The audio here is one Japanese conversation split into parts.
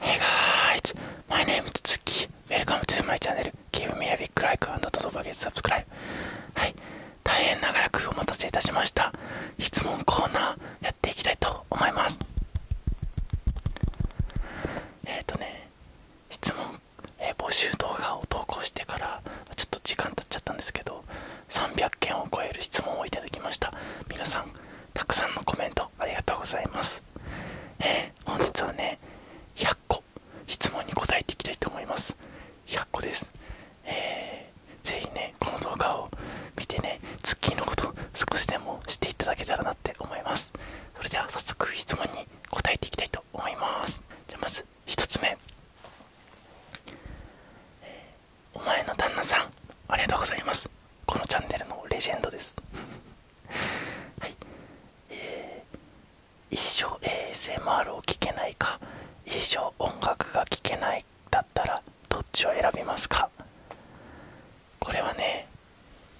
へ e y guys! My name is Tsuki. Welcome to my channel. Give me a big like d o n t forget to subscribe. はい。大変長らくお待たせいたしました。質問コーナーやっていきたいと思います。えっ、とね、質問、え募集動画を投稿してからちょっと時間経っちゃったんですけど、300件を超える質問をいただきました。皆さん、たくさんのコメントありがとうございます。え本日はね100個質問に答えていきたいと思います100個です、えー、ぜひねこの動画を見てねツッキーのこと少しでもしていただけたらなって思いますそれでは早速質問に答えていきたいと思いますじゃまず1つ目お前の旦那さんありがとうございますこのチャンネルのレジェンドですはいえ一生 ASMR を聴けないか一生音楽が聴けないだったらどっちを選びますかこれはね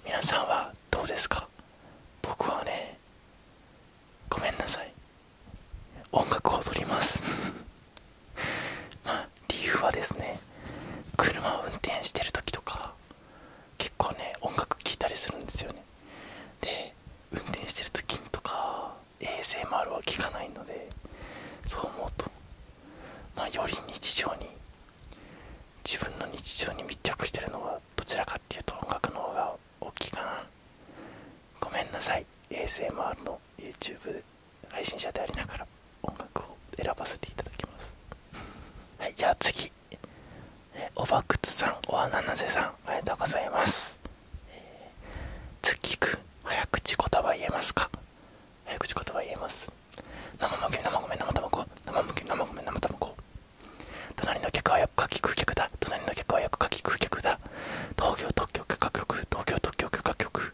皆さんはどうですか僕はねごめんなさい音楽を踊ります まあ理由はですね車を運転してる時とか結構ね音楽聴いたりするんですよねで運転してる時とか ASMR は聞かないのでそう思うと、まより日常に自分の日常に密着してるのはどちらかっていうと音楽の方が大きいかなごめんなさい ASMR の YouTube 配信者でありながら音楽を選ばせていただきますはいじゃあ次おばくつさんおはななせさんありがとうございます月く早口言葉言えますか早口言葉言えます生むけ生め米生卵生むき生米生卵隣の客はよくかきくう客だ隣の客はよくかきくう客だ東京特許許可局東京特許許可局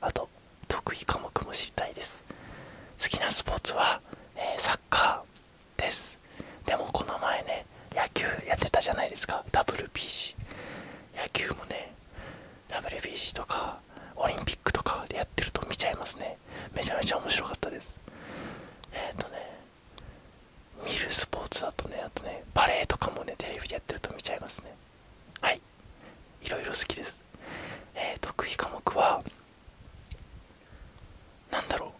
あと得意科目も知りたいです好きなスポーツは、えサッカーですでもこの前ね野球やってたじゃないですか WBC 野球もね WBC とかオリンピックとかでやってると見ちゃいますねめちゃめちゃ面白かったですえっ、とね見るスポーツだとねあとねバレエとかもねテレビでやってると見ちゃいますねはいいろいろ好きです、え得意科目は何だろう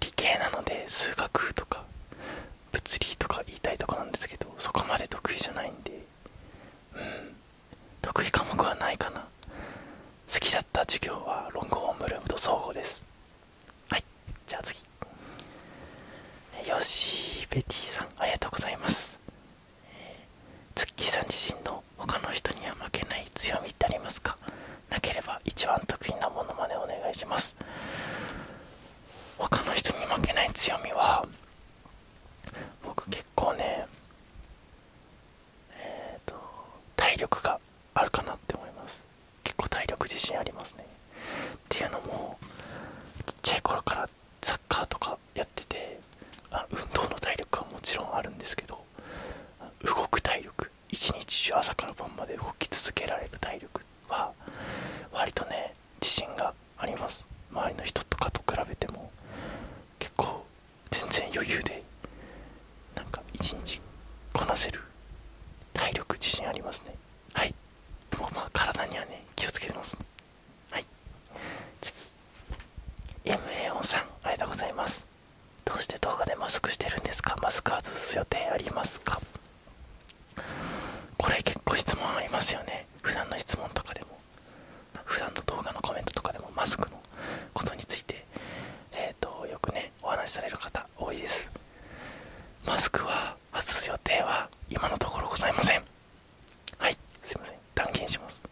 理系なので数学とか物理とか言いたいとこなんですけどそこまで得意じゃないんでうん得意科目はないかな好きだった授業はロングホームルームと総合ですはいじゃあ次よしベティさんありがとうございます月すさん自身の他の人には負けない強みってありますかなければ一番得意なものまでお願いします他の人に負けない強みは僕結構ねえっと体力があるかなって思います結構体力自信ありますねっていうのもちっちゃい頃からサッカーとかやっててあ運動の体力はもちろんあるんですけど動く体力一日中朝から晩まで動き続けられる体力は割とね自信があります周りの人とかと比べても結構全然余裕でなんか一日こなせる体力自信ありますねはいもうまあ体にはね気をつけてますはい次 MA4 さんありがとうございますどうして動画でマスクしてるんですかマスク外す予定ありますかこれ結構質問ありますよね普段の質問とかでも普段の動画のコメントとかでもマスクのことについてえっ、とよくねお話しされる方多いですマスクは外す予定は今のところございませんはいすいません断言します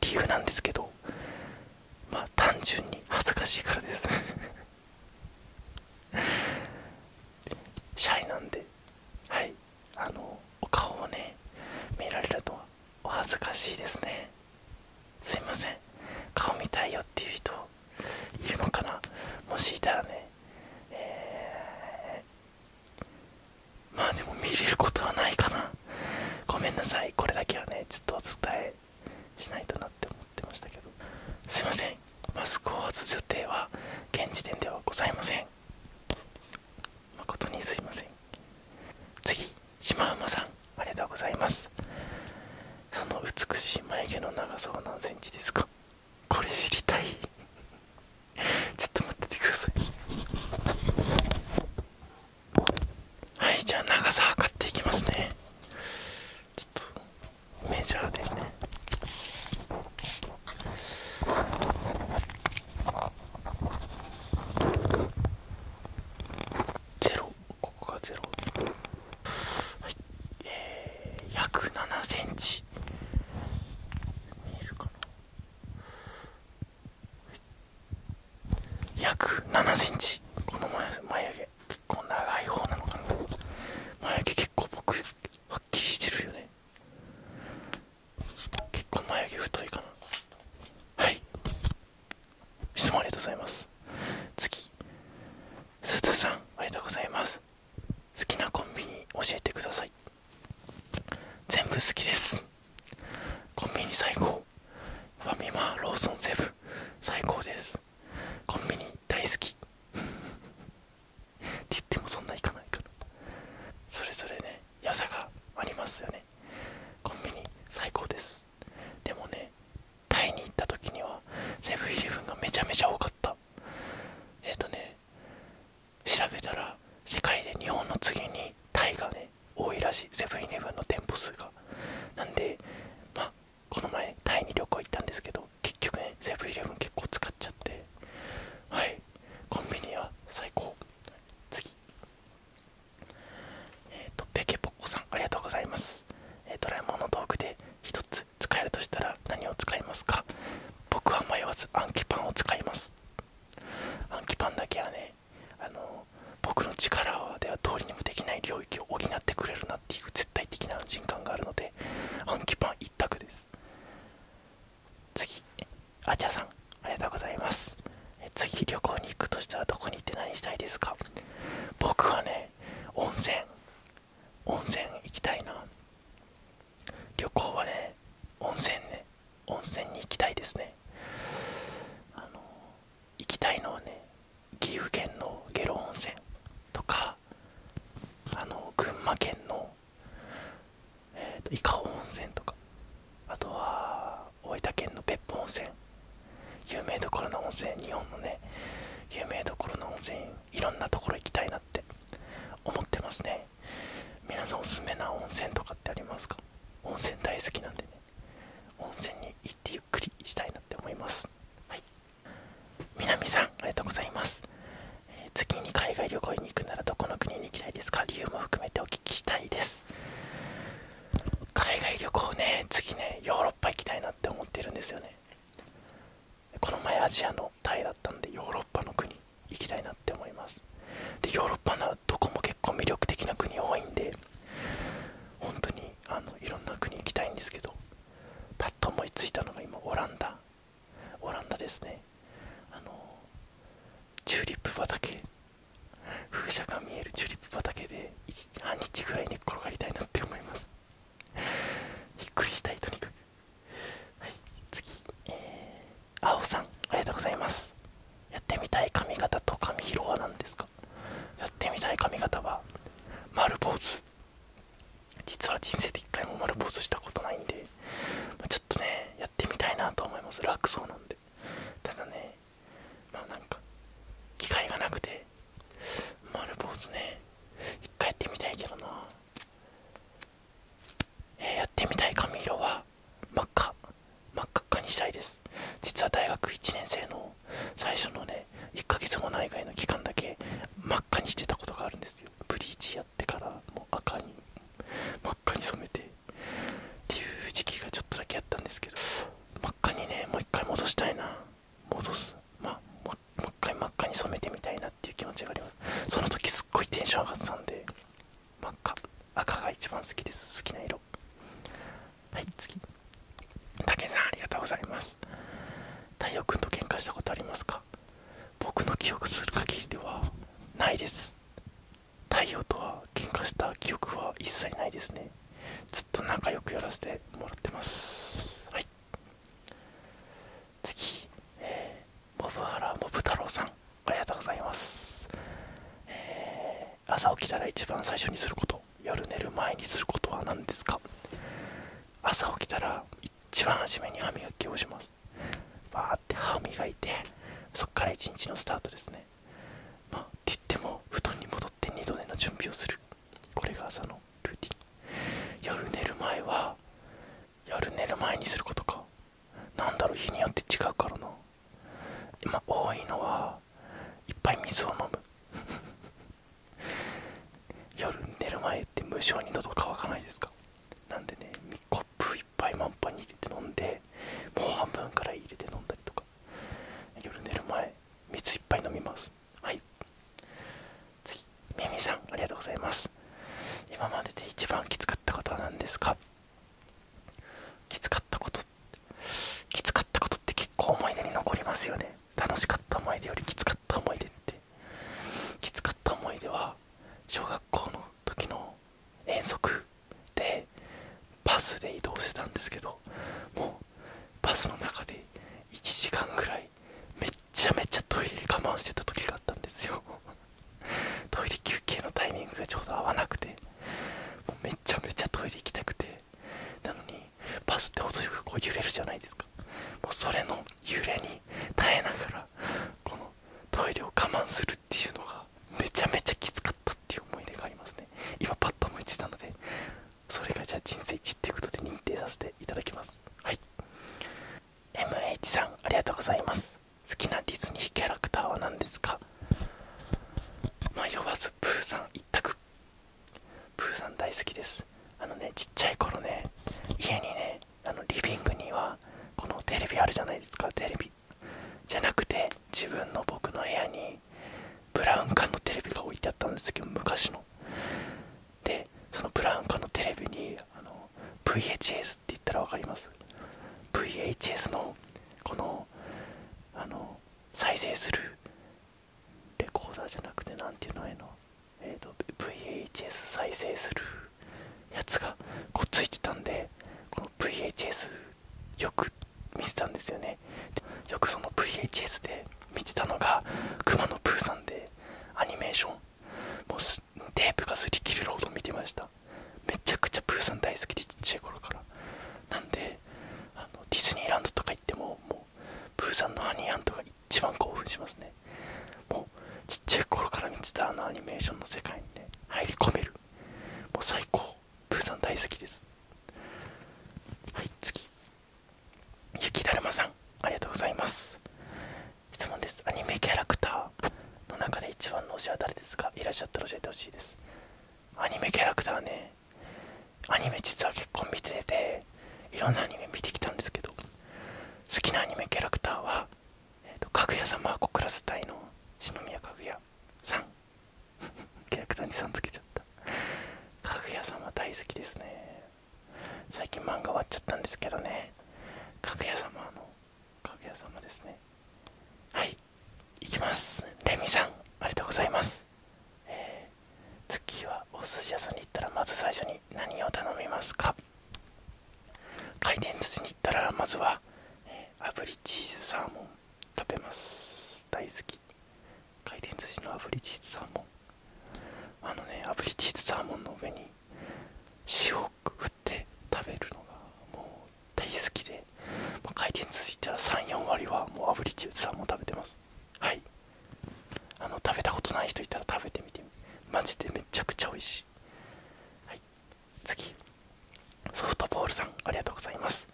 理由なんですけどまあ単純に恥ずかしいからですシャイなんではいあのお顔をね見られるとお恥ずかしいですねすいません顔見たいよっていう人いるのかなもしいたらね、えまあでも見れることはないかなごめんなさいこれだけはねちょっとお伝えしないとなって思ってましたけどすいませんマスクを外す予定は現時点ではございません誠にすいません次島馬さんありがとうございますその美しい眉毛の長さは何 cm ですかこれ知りたいちょっと待っててくださいはいじゃあ長さ測っていきますねちょっとメジャーでねゼロここがゼロはいえー、約7センチ見えるかな約7センチこの眉毛結構長い方なのかな眉毛結構僕はっきりしてるよね結構眉毛太いかなはい質問ありがとうございます次すずさんありがとうございます好きなコンビニ教えてください全部好きですコンビニ最高ファミマローソンセブ最高ですコンビニ大好き って言ってもそんないかないかなそれぞれね良さがありますよねコンビニ最高ですでもねタイに行った時にはセブンイレブンがめちゃめちゃ多かったえっ、とね調べたら世界で日本の次にタイがね多いらしいセブンイレブンの店舗数がなんでまあこの前タイに旅行行ったんですけど結局ねセブンイレブン結構使っちゃってはいコンビニは最高次えっ、とペケポッコさんありがとうございます、えドラえもんの道具で1つ使えるとしたら何を使いますか僕は迷わずアンケパンを使います暗記パンだけはねあの僕の力ではどうにもできない領域を補ってくれるなっていう絶対的な安心感があるので暗記パン一択です次あちゃさんありがとうございますえ次旅行に行くとしたらどこに行って何したいですか僕はね温泉温泉行きたいな旅行はね温泉ね温泉に行きたいですね行きたいのはね岐阜県の下呂温泉とかあの群馬県のえっ、と伊香保温泉とかあとは大分県の別府温泉有名どころの温泉日本のね有名どころの温泉いろんなところ行きたいなって思ってますね皆さんおすすめな温泉とかってありますか温泉大好きなんでね温泉に行ってゆっくりしたいなって思いますはい南さんありがとうございます、え次に海外旅行に行くならどこの国に行きたいですか理由も含めてお聞きしたいです海外旅行ね次ねヨーロッパ行きたいなって思ってるんですよねこの前アジアのタイだったんでヨーロッパの国行きたいなって思いますでヨーロッパならどこも結構魅力的な国多いんで本当にあのいろんな国行きたいんですけどパッと思いついたのが今オランダオランダですねあのチューリップ畑風車が見えるチューリップ畑で半日ぐらいに転がりたいなって思いますびっくりしたいとにかく次えあおさんありがとうございますやってみたい髪型と髪色は何ですかやってみたい髪型は丸坊主実は人生で一回も丸坊主したことないんで、まちょっとねやってみたいなと思います楽そうなんでただねまあなんか機会がなくて丸坊主ね一回やってみたいけどなえやってみたい髪色は真っ赤真っ赤にしたいです実は大学1年生の最初のね1ヶ月もないぐらいの期間だけ真っ赤にしてたことがあるんですよブリーチやってからもう赤に真っ赤に染めてっていう時期がちょっとだけあったんですけど真っ赤にねもう一回戻したいな戻すまあもう一回真っ赤に染めてみたいなっていう気持ちがありますその時すっごいテンション上がってたんで真っ赤赤が一番好きです好きな色はい次武井さんありがとうございます太陽くんと喧嘩したことありますか僕の記憶する限りではないです太陽とは喧嘩した記憶は一切ないですねずっと仲良くやらせてもらってますはい次、モブハラモブ太郎さんありがとうございます、朝起きたら一番最初にすること夜寝る前にすることは何ですか朝起きたら一番初めに歯磨きをしますバーって歯磨いてそっから一日のスタートですねって言っても布団に戻って二度寝の準備をするこれが朝のルーティン夜寝る前は夜寝る前にすることかなんだろう日によって違うからな今多いのはいっぱい水を飲む 夜寝る前って無性に喉乾かないですかなんでねコップいっぱい満杯に入れて飲んでもう半分からい入れて飲んだりとか夜寝る前水いっぱい飲みますはい次みミさんありがとうございます今までで一番きつかったことは何ですかきつかったこときつかったことって結構思い出に残りますよね楽しかった思い出よりきつかった思い出ってきつかった思い出は小学校の時の遠足でバスで移動してたんですけどもうバスの中で1時間ぐらいめっちゃめちゃトイレ我慢してた時があったんですよトイレ休憩のタイミングがちょうど合わなくてめちゃめちゃトイレ行きたくてなのにバスって程よくこう揺れるじゃないですかもうそれの揺れに耐えながらこのトイレを我慢するっていうのがめちゃめちゃきつかったっていう思い出がありますね今パッと思いついたのでそれがじゃあ人生一っていうことで認定させていただきますはい MH さんありがとうございます好きなディズニーキャラクターは何ですか迷わずプーさん一択プーさん大好きですあのねちっちゃい頃ね家にねあのリビングにはこのテレビあるじゃないですかテレビじゃなくて自分の僕の部屋にブラウン管のテレビが置いてあったんですけど昔のでそのブラウン管のテレビにあの VHS VHS って言ったら分かります VHS のこのあの再生するレコーダーじゃなくて何ていうのへの、えっと、VHS 再生するやつがこうついてたんでこの VHS よく見てたんですよねよくその VHS で見てたのが熊野プーさんでアニメーションもうテープが擦り切れるほど見てましためちゃくちゃプーさん大好きでちっちゃい頃からなんであのディズニーランドとか行ってももうプーさんのアニーアントが一番興奮しますねもうちっちゃい頃から見てたあのアニメーションの世界にね入り込めるもう最高プーさん大好きですはい次雪だるまさんありがとうございます質問ですアニメキャラクターの中で一番の推しは誰ですかいらっしゃったら教えてほしいですアニメキャラクターねアニメ実は結婚見てていろんなアニメ見てきたんですけど好きなアニメキャラクターは、えーと、かぐや様はクラス隊の四宮かぐやさんキャラクターにさんつけちゃったかぐや様大好きですね最近漫画終わっちゃったんですけどねかぐや様のかぐや様ですねはいいきますレミさんありがとうございます、えー、次はお寿司屋さんに行ったらまず最初に何を頼みますか回転寿司に行ったらまずは、炙りチーズサーモン食べます大好き回転寿司の炙りチーズサーモンあのね炙りチーズサーモンの上に塩を振って食べるのがもう大好きで、ま回転続いたら34割はもうアリ。炙り中さんも食べてますはいあの食べたことない人いたら食べてみてマジでめちゃくちゃ美味しい、はい、次ソフトボールさんありがとうございます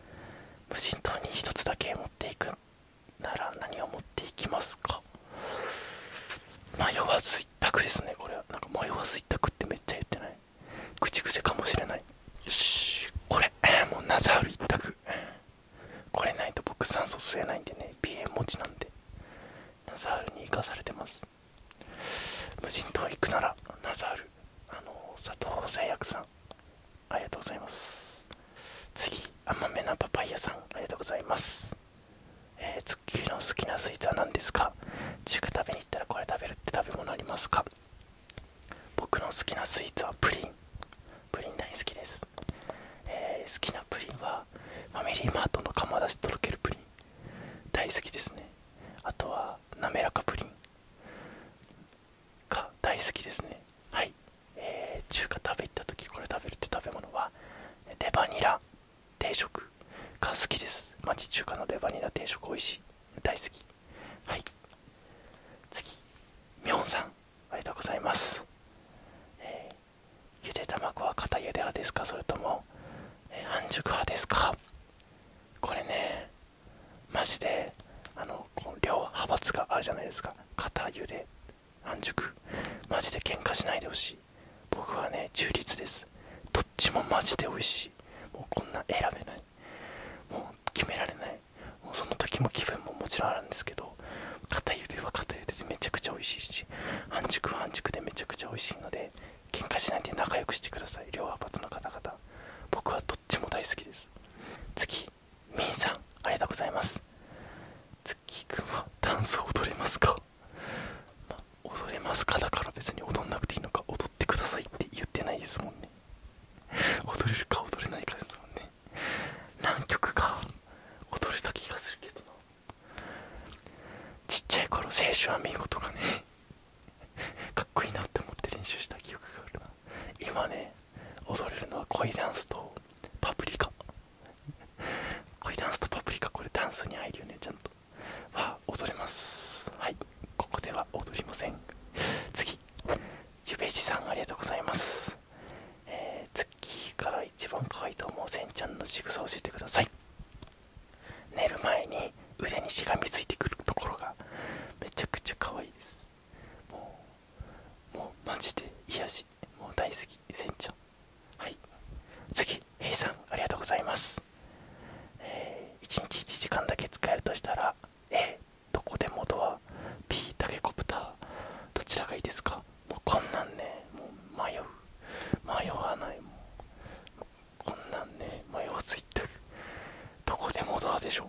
無人島に1つだけ持っていくなら何を持って行きますか迷わず一択ですねこれはなんか迷わず一択ってめっちゃ言ってない口癖かもしれないよしこれもうナザール一択これないと僕酸素吸えないんでね鼻炎持ちなんでナザールに生かされてます無人島行くならナザールあの佐藤製薬さんありがとうございます次甘めなパパイヤさんありがとうございますえツッキーの好きなスイーツは何ですか中華食べに行ったらこれ食べるって食べ物ありますか僕の好きなスイーツはプリンプリン大好きです、好きなプリンはファミリーマートの釜出しとろけるプリン大好きですねあとは滑らかプリンか大好きですねはい、えー、中華食べ行った時これ食べるって食べ物はレバニラ定食が好きです町中華のレバニラ定食美味しい大好きはい次みほんさんありがとうございます、えー、ゆで卵は固ゆで派ですかそれとも、えー、半熟派ですかこれねマジであのこの両派閥があるじゃないですか肩ゆで半熟マジで喧嘩しないでほしい僕はね中立ですどっちもマジで美味しいもうこんな選べないもう決められないもうその時も気分ももちろんあるんですけど肩ゆでは片ゆででめちゃくちゃ美味しいし半熟は半熟でめちゃくちゃ美味しいので喧嘩しないで仲良くしてください両派閥の方々僕はどっちも大好きです次みんさんありがとうございます月くんはダンスを踊れますか、ま踊れますかだから別に踊んなくていいのか踊ってくださいって言ってないですもんね踊れるか踊れないかですもんね何曲か踊れた気がするけどなちっちゃい頃青春は見事かねかっこいいなって思って練習した記憶があるな今ね踊れるのは恋ダンスとパプリカ恋ダンスとパプリカこれダンスに入るよねちゃんとわ踊れますはいここでは踊りません次ゆべじさんありがとうございますえー、月から一番可愛いと思うせんちゃんの仕草を教えてください寝る前に腕にしがみついてくるところがめちゃくちゃ可愛いですもうもうマジで癒しもう大好きせんちゃんはい次へいさんありがとうございますえ1日1時間だけ使えるとしたら A どこでもドア B タケコプターどちらがいいですかもうこんなんねもう迷う迷わないもうこんなんね迷わず行った。どこでもドアでしょ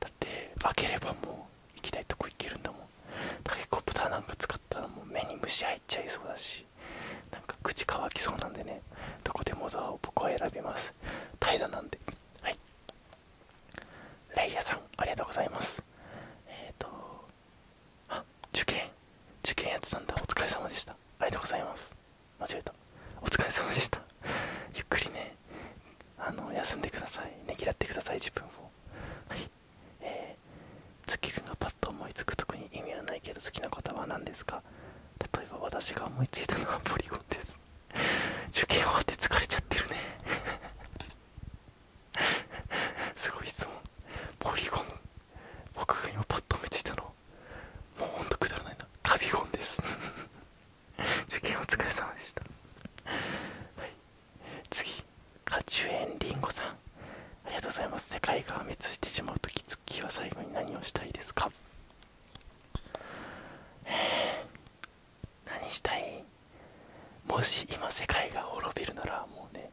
だって開ければもう行きたいとこ行けるんだもんタケコプターなんか使ったらもう目に虫入っちゃいそうだしなんか口乾きそうなんでねどこでもザアを僕は選びます平らなんではいレイヤーさんありがとうございますえっ、ー、とあ受験受験やってたんだお疲れ様でしたありがとうございます間違えたお疲れ様でしたゆっくりねあの休んでくださいね嫌ってください自分をはいえー、月君がパッと思いつく特に意味はないけど好きな言葉は何ですか例えば私が思いついたのはポリゴンです 受験終わって疲れちゃってるね すごい質問ポリゴン僕が今パッと思ついたのもうほんとくだらないなカビゴンです 受験お疲れ様でした次カチュエンリンゴさんありがとうございます世界が破滅してしまうとき月は最後に何をしたいですか 何したいもし今世界が滅びるならもうね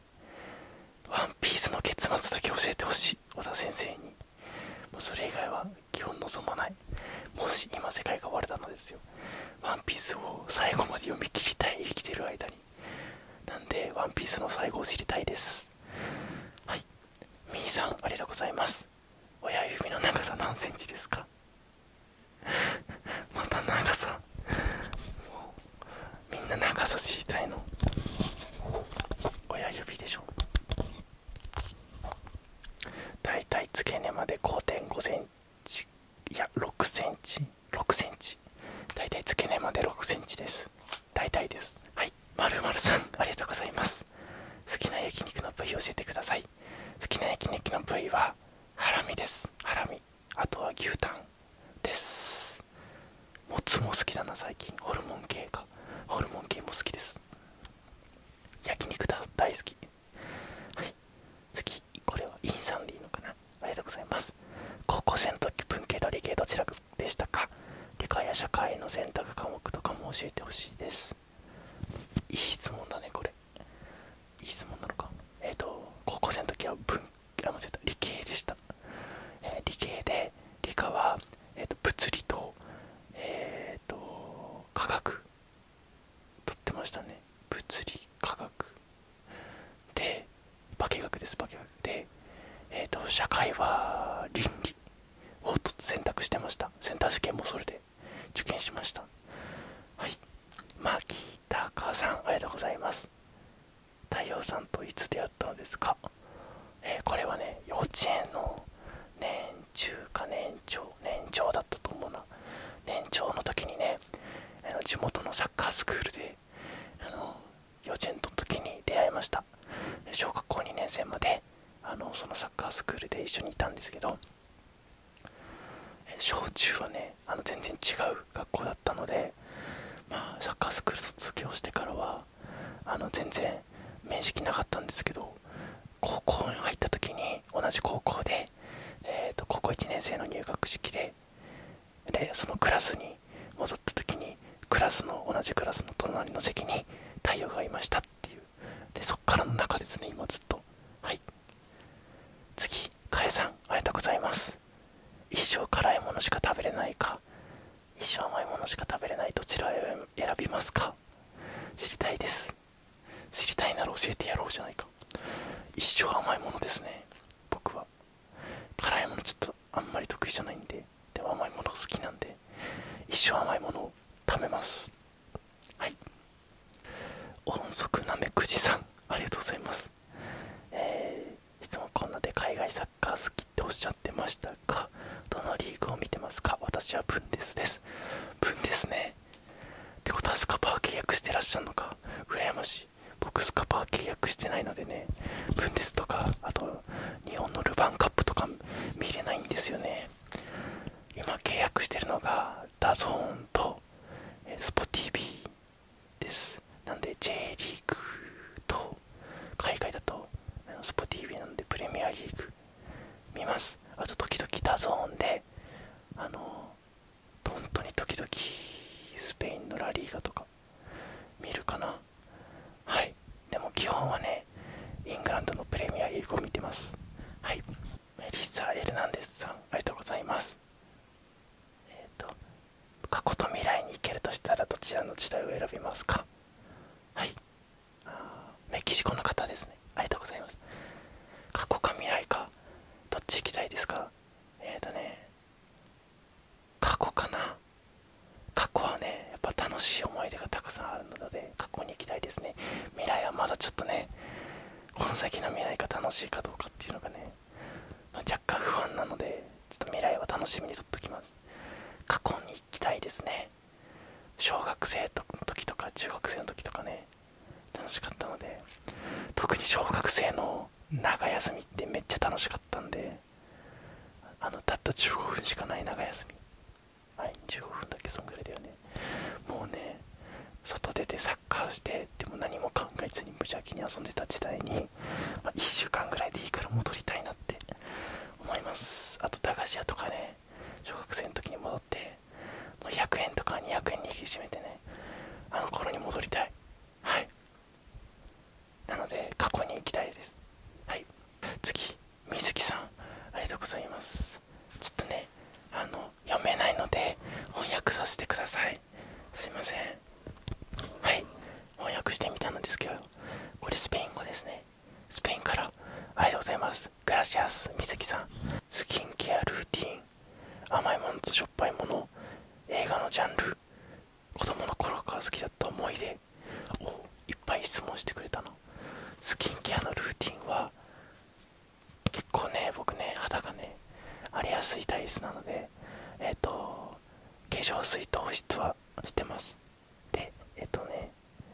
ワンピースの結末だけ教えてほしい小田先生にもうそれ以外は基本望まないもし今世界が終われたのですよワンピースを最後まで読み切りたい生きてる間になんでワンピースの最後を知りたいですはいみいさんありがとうございます親指の長さ何センチですか また長さみんな長さ知りたいの親指でしょだいたい付け根まで5.5センチいや6センチ6センチだい付け根まで6センチです大体ですはいはいまるまるさんありがとうございます好きな焼肉の部位教えてください好きな焼肉の部位はハラミですハラミあとは牛タンですもつも好きだな最近ホルモン系かホルモン系も好きです焼肉大好きはいこれはインサンでいいのかなありがとうございます高校生の時文系と理系どちらでしたか理科や社会の選択科目とかも教えてほしいですいい質問だねこれいい質問なのかえっ、と高校生の時は文あ間違えた理系でした、理系で理科は、えーと、物理とえっ、と科学取ってましたね物理科学で化学です化学でえっ、と社会は倫理ほっと選択してましたセンター試験もそれで受験しましたはい牧高さんありがとうございます太陽さんといつ出会ったのですか、えこれはね幼稚園の年中か年長年長だったと思うな年長の時にねあの地元のサッカースクールであの幼稚園の時に出会いました小学校2年生まであのそのサッカースクールで一緒にいたんですけど小中はねあの全然違う学校だったので、まあ、サッカースクール卒業してからはあの全然面識なかったんですけど高校に入った時に同じ高校で、えー、と高校1年生の入学式ででそのクラスに戻った時にクラスの同じクラスの隣の席に太陽がいましたっていうでそっからの中ですね今ずっとはい次かえさんありがとうございます一生辛いものしか食べれないか一生甘いものしか食べれないどちらを選びますか知りたいです知りたいなら教えてやろうじゃないか一生甘いものですね僕は辛いものちょっとあんまり得意じゃないんででも甘いもの好きなんで一生甘いものを食べますはい音速なめくじさんありがとうございますえいつもこんなで海外サッカー好きっておっしゃってましたがどのリーグを見てますか私はブンデスですブンデスねってことはスカパー契約してらっしゃるのか羨ましい僕スカパー契約してないのでねブンデスとかあと日本のルヴァンカップとか見れないんですよね今契約してるのがダゾー n と s p o TV ですなんで J リーグと海外だと s p o TV なんでプレミアリーグ見ますあと時々ダゾー n であの本当に時々スペインのラリーガとか見るかなはいでも基本はねイングランドのプレミアリーグを見てますはいメリッサ・エルナンデスさんありがとうございますえっ、と過去と未来に行けるとしたらどちらの時代を選びますかはいメキシコの方ですねありがとうございます過去か未来かどっち行きたいですかえっ、とね過去かな過去はねやっぱ楽しい思い出がたくさんあ過去に行きたいですね未来はまだちょっとねこの先の未来が楽しいかどうかっていうのがね、ま若干不安なのでちょっと未来は楽しみにとっときます過去に行きたいですね小学生の時とか中学生の時とかね楽しかったので特に小学生の長休みってめっちゃ楽しかったんであのたった15分しかない長休みはい、15分だけそんぐらいだよね。もうね、外出てサッカーして、でも何も考えずに無邪気に遊んでた時代に、ま1週間ぐらいでいいから戻りたいなって思います。あと、駄菓子屋とかね、小学生の時に戻って、もう100円とか200円に引き締めてね、あの頃に戻りたい。はい。なので、過去に行きたいです。はい。次、水木さんありがとうございますちょっとねあの読めないので翻訳させてくださいすいませんはい翻訳してみたんですけどこれスペイン語ですねスペインからありがとうございますグラシアス水木さんスキンケアルーティン甘いものとしょっぱいもの映画のジャンル子供の頃から好きだった思い出をいっぱい質問してくれたのスキンケアのルーティンは結構ね僕ね肌がね荒れやすい体質なのでえっ、と化粧水と保湿はしてますでえっ、とね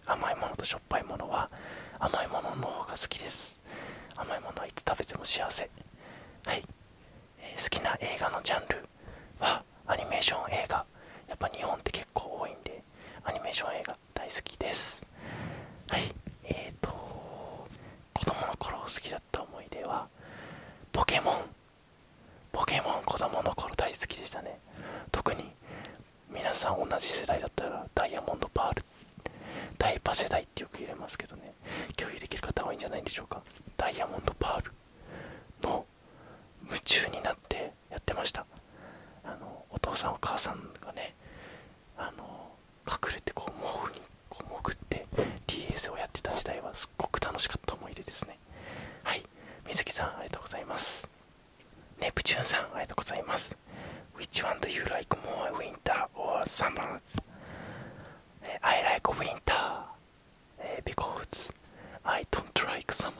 甘いものとしょっぱいものは甘いものの方が好きです甘いものはいつ食べても幸せはい、え好きな映画のジャンルはアニメーション映画やっぱ日本って結構多いんでアニメーション映画大好きですはいえーと子供の頃好きだった思い出はポケモンポケモン子供の頃大好きでしたね特に皆さん同じ世代だったらダイヤモンドパールダイパ世代ってよく入れますけどね共有できる方多いんじゃないでしょうかダイヤモンドパールの夢中になってやってましたあのお父さんお母さんがねあの隠れてこう毛布に潜って DS をやってた時代はすっごく楽しかった思い出ですねはい水木さんありがとうございますネプチューンさんありがとうございます Which one do you like more winter or summer? I like winter because I don't like summer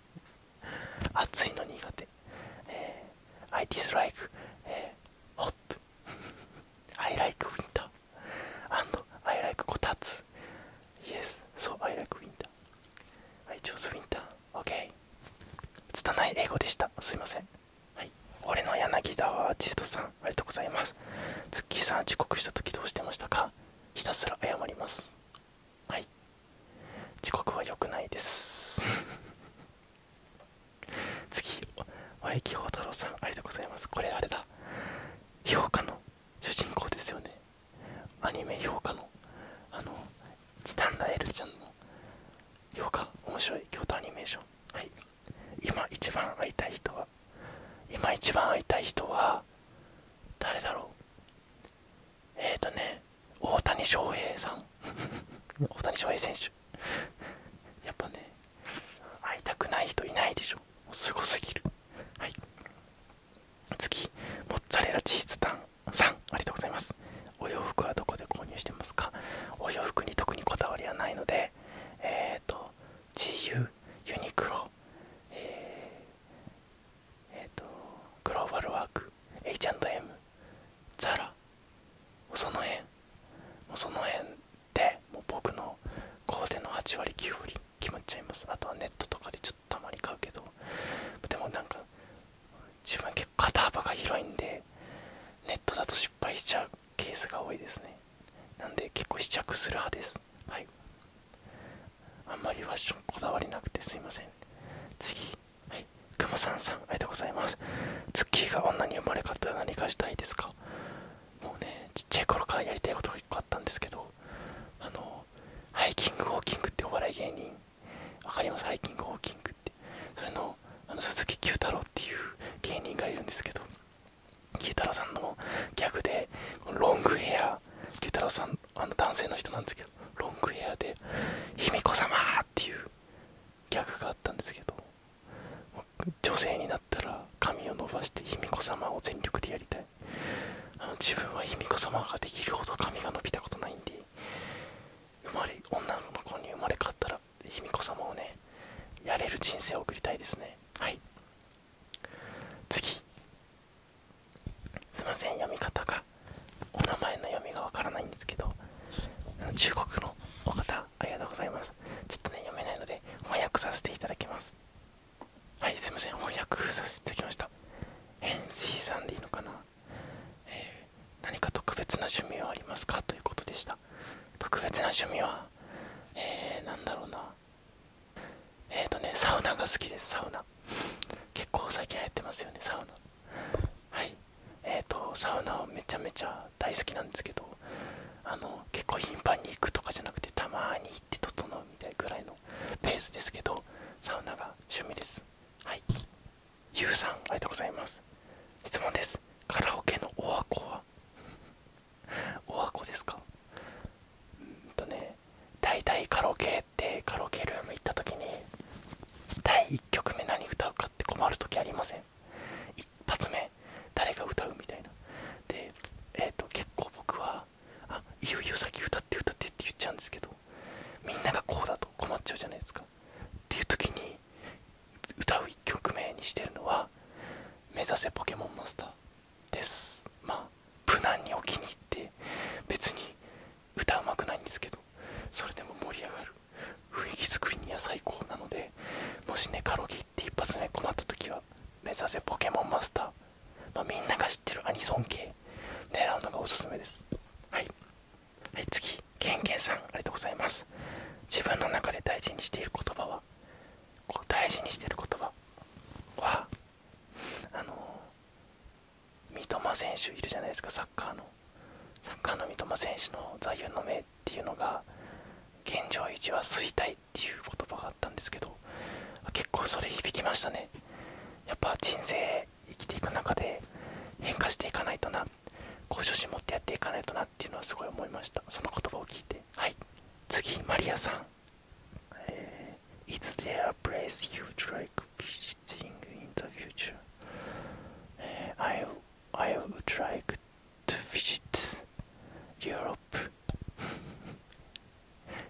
暑いの苦手て、えー、I dislike、えー、hot I like winter and I like こたつ Yes, so I like winter I choose winter OK 拙い英語でしたすいませんはい俺の柳田は、沢千人さんありがとうございますツッキーさん遅刻した時どうしてましたかひたすら謝りますはい遅刻は良くないです 次和駅宝太郎さんありがとうございますこれあれだ評価の主人公ですよねアニメ評価のあのチタンダエルちゃんの評価面白い京都アニメーションはい今一番会いたい人は今一番会いたい人は誰だろうえっ、とね、大谷翔平さん、大谷翔平選手、やっぱね、会いたくない人いないでしょ、すごすぎる。はい、次、モッツァレラチーズタンさん、ありがとうございます。お洋服はどこで購入してますかお洋服に特にこだわりはないので、えっ、と、GU、ユニクロ、えっ、えー、と、グローバルワーク、H&M、ザラその辺もうその辺でもう僕のコーデの8割9割決まっちゃいますあとはネットとかでちょっとたまに買うけどでもなんか自分結構肩幅が広いんでネットだと失敗しちゃうケースが多いですねなんで結構試着する派ですはいあんまりファッションこだわりなくてすいません次はい、くまさんさん、ありがとうございます。ツッキーが女に生まれ変わったら何かしたいですかもうね、ちっちゃい頃からやりたいことが1個あったんですけど、あの、ハイキングウォーキングってお笑い芸人、わかりますハイキングウォーキングって。それの、あの鈴木久太郎っていう芸人がいるんですけど、久太郎さんのギャグで、ロングヘア、久太郎さん、あの男性の人なんですけど、ロングヘアで、卑弥呼様っていう逆があったんですけど女性になったら髪を伸ばして卑弥呼様を全力でやりたいあの自分は卑弥呼様ができるほど髪が伸びたことないんで生まれ女の子に生まれ変わったら卑弥呼様をねやれる人生を送りたいですねはい次すいません読み方がお名前の読みがわからないんですけど中国のお方ありがとうございますちょっとね読めないので翻訳させていただきますはいすいません翻訳させていただきましたヘンシーさんでいいのかな、え何か特別な趣味はありますかということでした特別な趣味はえー、だろうなえっ、とねサウナが好きですサウナ結構最近流行ってますよねサウナはいえっ、とサウナはめちゃめちゃ大好きなんですけどあの結構頻繁に行くとかじゃなくてたまに行って整うみたいぐらいのペースですけどサウナが趣味ですはいゆうさんありがとうございます質問ですカラオケのおはこはおはこですかうんとね大体カラオケってカラオケルーム行った時に第1曲目何歌うかって困る時ありません一発目誰が歌うみたいなでえっ、と結構僕はあいよいよ先歌って歌ってって言っちゃうんですけどみんながこうだと困っちゃうじゃないですかっていう時に歌う1曲目にしてるのは「目指せポケモンマスター」ですまあ無難にお気に入って別に歌うまくないんですけどそれでも盛り上がる雰囲気作りには最高なのでもしねカロリーって一発目困った時は目指せポケモンマスター、まみんなが知ってるアニソン系狙うのがおすすめですはい、はい、次ケンケンさんありがとうございます自分の中で大事にしている言葉はこう大事にしている言葉はあの三笘選手いるじゃないですかサッカーのサッカーの三笘選手の座右の銘っていうのが現状維持は衰退っていう言葉があったんですけど結構それ響きましたねやっぱ人生生きていく中で変化していかないとなこう初心持ってやっていかないとなっていうのはすごい思いましたその言葉を聞いてはい次マリアさん、えー、Is there a place you'd like visiting in the future? I, I would like to visit Europe.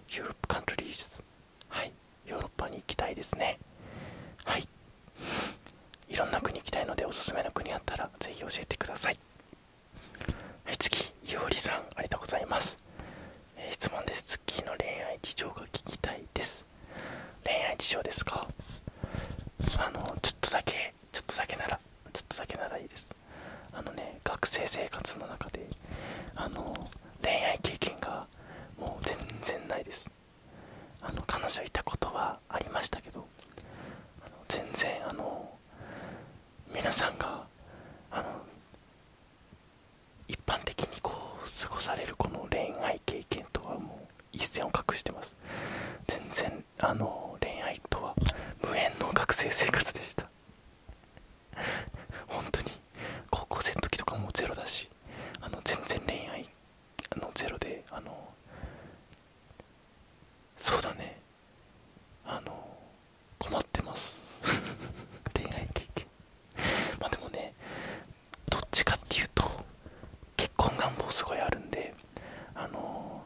Europe countries. はい。ヨーロッパに行きたいですね。はい。いろんな国行きたいのでおすすめの国あったらぜひ教えてください。はい、次、いおりさん、ありがとうございます。え質問です。次の恋愛事情が聞きたいです。恋愛事情ですかあのちょっとだけちょっとだけならちょっとだけならいいですあのね学生生活の中であの恋愛経験がもう全然ないですあの彼女いたことはありましたけどあの全然あの皆さんがあの一般的にこう過ごされるこの恋愛経験とはも一線を画してます全然あの恋愛とは無縁の学生生活でした本当に高校生の時とかもゼロだしあの全然恋愛あのゼロであのそうだねあの困ってます 恋愛経験まあでもねどっちかっていうと結婚願望すごいあるんであの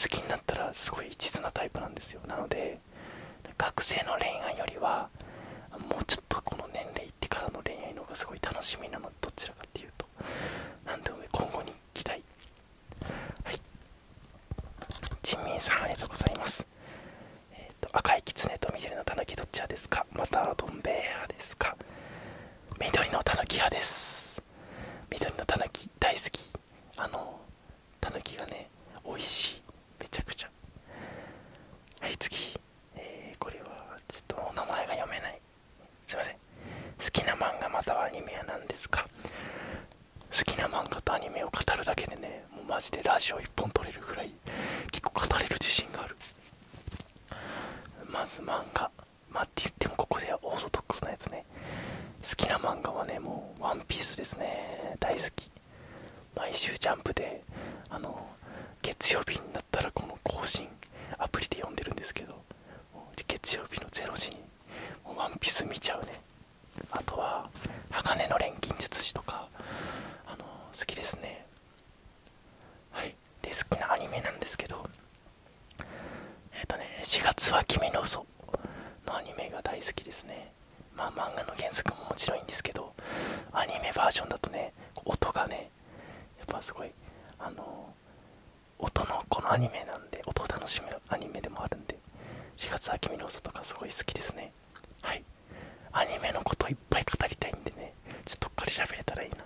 好きになったらすごい一途なタイプなんですよなので学生の恋愛よりはもうちょっとこの年齢いってからの恋愛の方がすごい楽しみなのどちらかっていうと何でも今後に期待はいジンミンさんありがとうございますえっ、と赤いキツネと緑のたぬきどちらですかまたドン兵アですか緑のたぬき派です緑のたぬき大好きあのたぬきがね美味しいめちゃくちゃはい次、えこれはちょっとお名前が読めないすいません好きな漫画またはアニメは何ですか好きな漫画とアニメを語るだけでねもうマジでラジオ1本撮れるぐらい結構語れる自信があるまず漫画まって言ってもここではオーソドックスなやつね好きな漫画はねもうワンピースですね大好き毎週ジャンプであの月曜日になったらこの更新アプリで読んでるんですけど月曜日の0時にもワンピース見ちゃうねあとは鋼の錬金術師とかあの好きですねはいで好きなアニメなんですけどえっ、とね4月は君の嘘のアニメが大好きですねまあ漫画の原作ももちろんいいんですけどアニメバージョンだとね音がねやっぱすごいあの音のこのアニメなんで音を楽しむアニメでもあるんで4月は君の嘘とかすごい好きですねはいアニメのこといっぱい語りたいんでねちょっとどっかで喋れたらいいな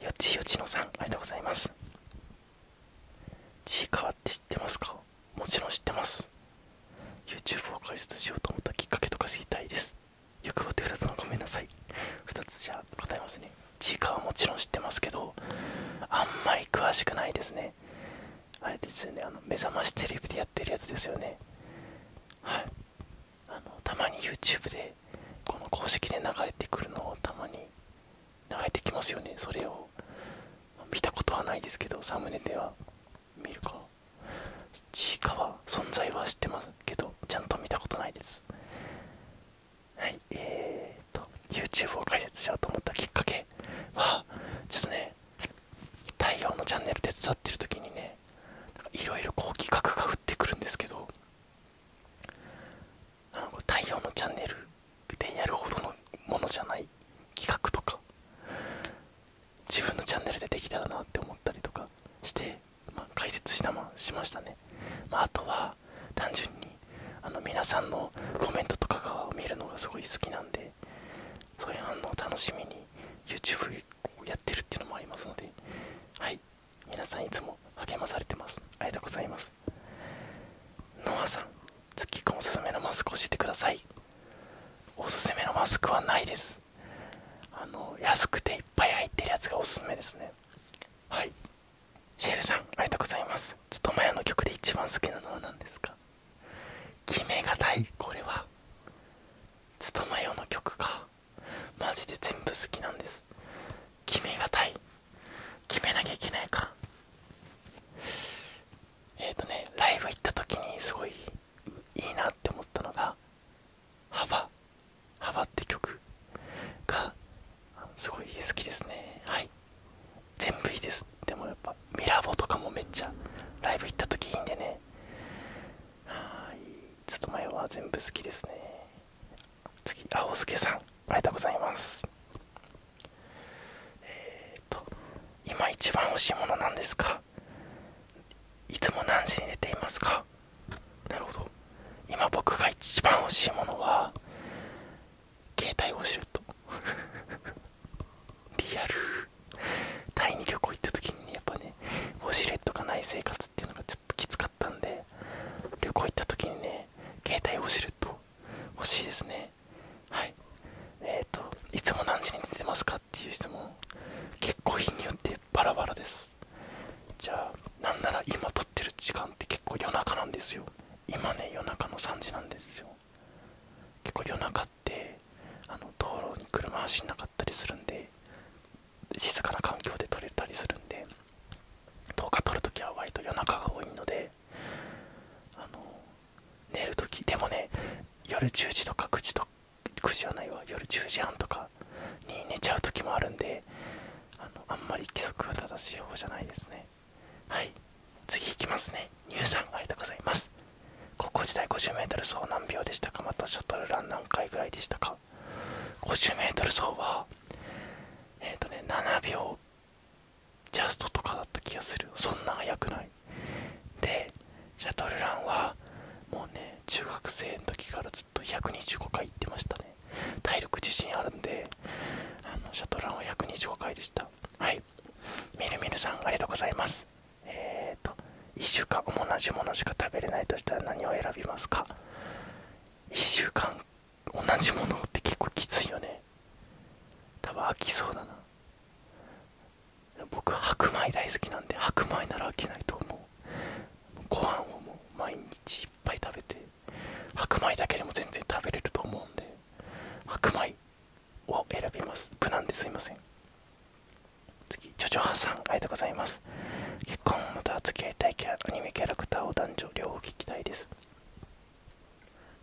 よちよちのさんありがとうございますちいかわって知ってますかもちろん知ってます YouTube を解説しようと思ったきっかけとか知りたいです欲張って2つのごめんなさい2つじゃ答えますねちいかわもちろん知ってますけどあんまり詳しくないですねあれですよねあの目覚ましテレビでやってるやつですよねはいあのたまに YouTube でこの公式で流れてくるのをたまに流れてきますよねそれを見たことはないですけどサムネでは見るか地下は存在は知ってますけどちゃんと見たことないですはいえー、と YouTube を解説しようと思ったきっかけはちょっとね太陽のチャンネル手伝ってる時にねいろいろこう企画が降ってくるんですけどあの太陽のチャンネルでやるほどのものじゃない企画とか自分のチャンネルでできたらなって思ったりとかして、ま解説したましましたね、まあ、とは単純にあの皆さんのコメントとかが見るのがすごい好きなんでそういう反応を楽しみに YouTube をやってるっていうのもありますのではい皆さんいつも励まされてますありがとうございますノアさん月ッくんおすすめのマスク教えてくださいおすすめのマスクはないですあの安くていっぱい入ってるやつがおすすめですねはいシェルさんありがとうございますずっとマヤの曲で一番好きなのは何ですか決めがたいこれはつとまよの曲かマジで全部好きなんです決めがたい決めなきゃいけないからえっ、ー、とねライブ行った時にすごいいいなって思ったのが「幅」「幅」って曲がすごい好きですねはい全部いいですでもやっぱミラボとかもめっちゃライブ行った時いいんでねはいちょっと前は全部好きですね次青助さんありがとうございますえっと今一番欲しいものなんですかいつも何時に寝ていますかなるほど今僕が一番欲しいものは携帯を知ると リアルタイに旅行行った時にねやっぱねウォシュレットがない生活っていうのがちきつかったんで旅行行った時にね携帯を知ると欲しいですねはいえっ、といつも何時に寝てますかっていう質問結構日によってバラバラですじゃあなんなら今撮ってる時間って結構夜中なんですよ今ね夜中の3時なんですよ結構夜中ってあの道路に車走んなかったりするんで静かな環境で撮れたりするんで10日撮るときは割と夜中が多いので寝るときでもね夜10時とか9時とか9時はないわ夜10時半とかに寝ちゃうときもあるんであのあんまり規則が正しい方じゃないですねはい次いきますね乳さんありがとうございます高校時代 50m 走何秒でしたかまたシャトルラン何回ぐらいでしたか 50m 走はえっ、とね7秒ジャストとかだった気がするそんな速くないでシャトルランはもうね中学生の時からずっと125回行ってましたね体力自身あるんであのシャトルランは125回でしたはいみるみるさんありがとうございますえっ、と1週間同じものしか食べれないとしたら何を選びますか1週間同じものって結構きついよね多分飽きそうだな僕白米大好きなんで白米なら飽きないと思うご飯を毎日いっぱい食べて白米だけでも全然食べれると思うんで白米を選びます無難ですいません次ジョジョハさんありがとうございます結婚をまたは付き合いたいキャアニメキャラクターを男女両方聞きたいです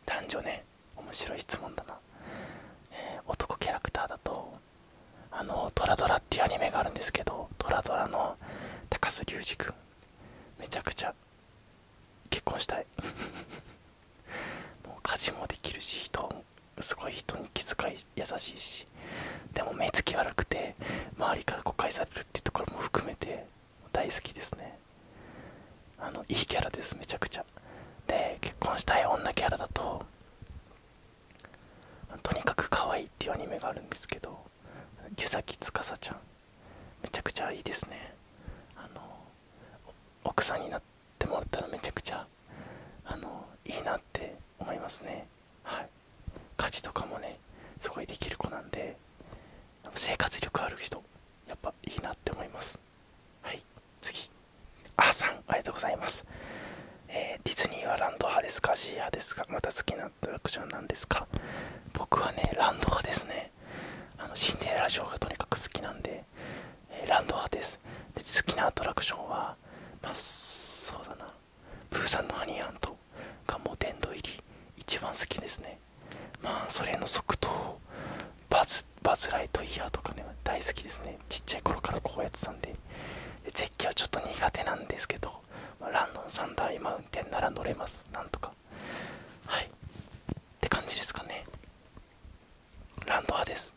男女ね面白い質問だな、え男キャラクターだとあのトラドラっていうアニメがあるんですけどトラドラの高須隆二君めちゃくちゃ結婚したい もう家事もできるし人すごい人に気遣い優しいしでも目つき悪くて周りから誤解されるところも含めて大好きですねあのいいキャラですめちゃくちゃで結婚したい女キャラだととにかく可愛いっていうアニメがあるんですけど湯崎司ちゃんめちゃくちゃいいですねあの奥さんになってもらったらめちゃくちゃあのいいなって思いますねはい家事とかもねすごいできる子なんで生活力ある人やっぱいいなって思いますはい次あーさんありがとうございます、えディズニーはランド派ですかシー派ですかまた好きなアトラクションなんですか僕はねランド派ですねあのシンデレラショーがとにかく好きなんで、えランド派ですで好きなアトラクションはまあそうだなプーさんのハニアントがもう殿堂入り一番好きですねまあそれの即答バズライトイヤーとかね大好きですねちっちゃい頃からこうやってたんで絶景はちょっと苦手なんですけど、ランドンサンダーマウンテンなら乗れますなんとかはいって感じですかねランドアです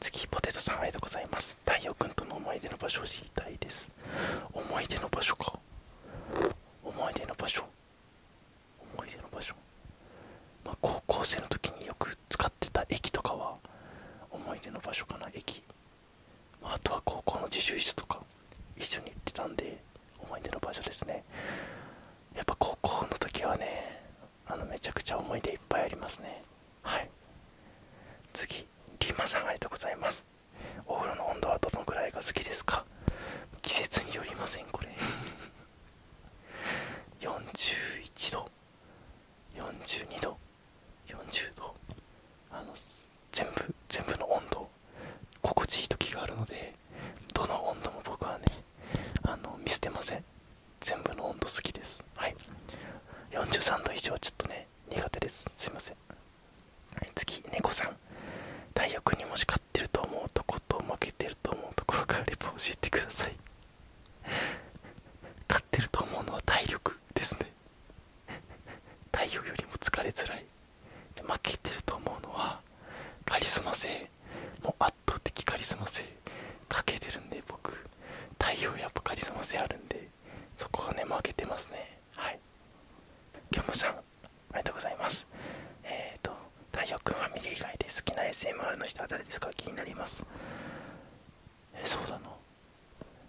次ポテトさんありがとうございます太陽君との思い出の場所を知りたいです思い出の場所か思い出の場所思い出の場所、ま高校生の時によく使ってた駅とかは思い出の場所かな駅、あ、とは高校の自習室とか一緒に行ってたんで思い出の場所ですねやっぱ高校の時はねあのめちゃくちゃ思い出いっぱいありますねはい次リーマさんありがとうございますお風呂の温度はどのくらいが好きですか季節によりませんこれ41 度42度40度あの全部全部の温度心地いい時があるのでどの温度も僕はねあの見捨てません全部の温度好きですはい43度以上はちょっとね苦手ですすいません次猫さん太陽君にもし勝ってると思うとこと負けてると思うところからレポ教えてください 勝ってると思うのは体力ですね太陽 よりも疲れづらいで負けてると思うのはカリスマ性もう圧倒的カリスマ性かけてるんで僕太陽やっぱカリスマ性あるんでそこはね負けてますねはいキョムさありがとうございます。えっ、と、太陽君はァミリ以外で好きな SMR の人は誰ですか気になります。えそうだな。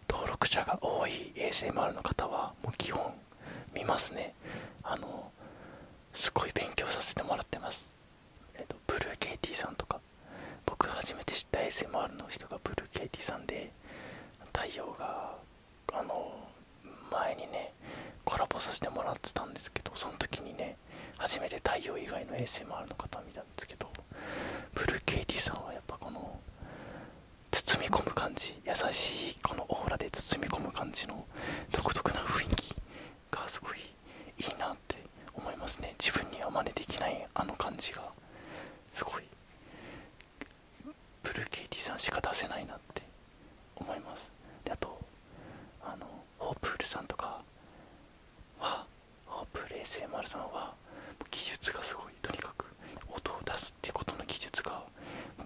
登録者が多い ASMR の方は、もう基本見ますね。あの、すごい勉強させてもらってます。えっ、と、ブルーケイティさんとか、僕初めて知った ASMR の人がブルーケイティさんで、太陽があの前にねコラボさせてもらってたんですけどその時にね初めて太陽以外の s m r の方見たんですけどブルーケイティさんはやっぱこの包み込む感じ優しいこのオーラで包み込む感じの独特な雰囲気がすごいいいなって思いますね自分には真似できないあの感じがすごいブルーケイティさんしか出せないなって思いますであとあのホープールさんとかはホープール SMR さんは技術がすごいとにかく音を出すっていうことの技術が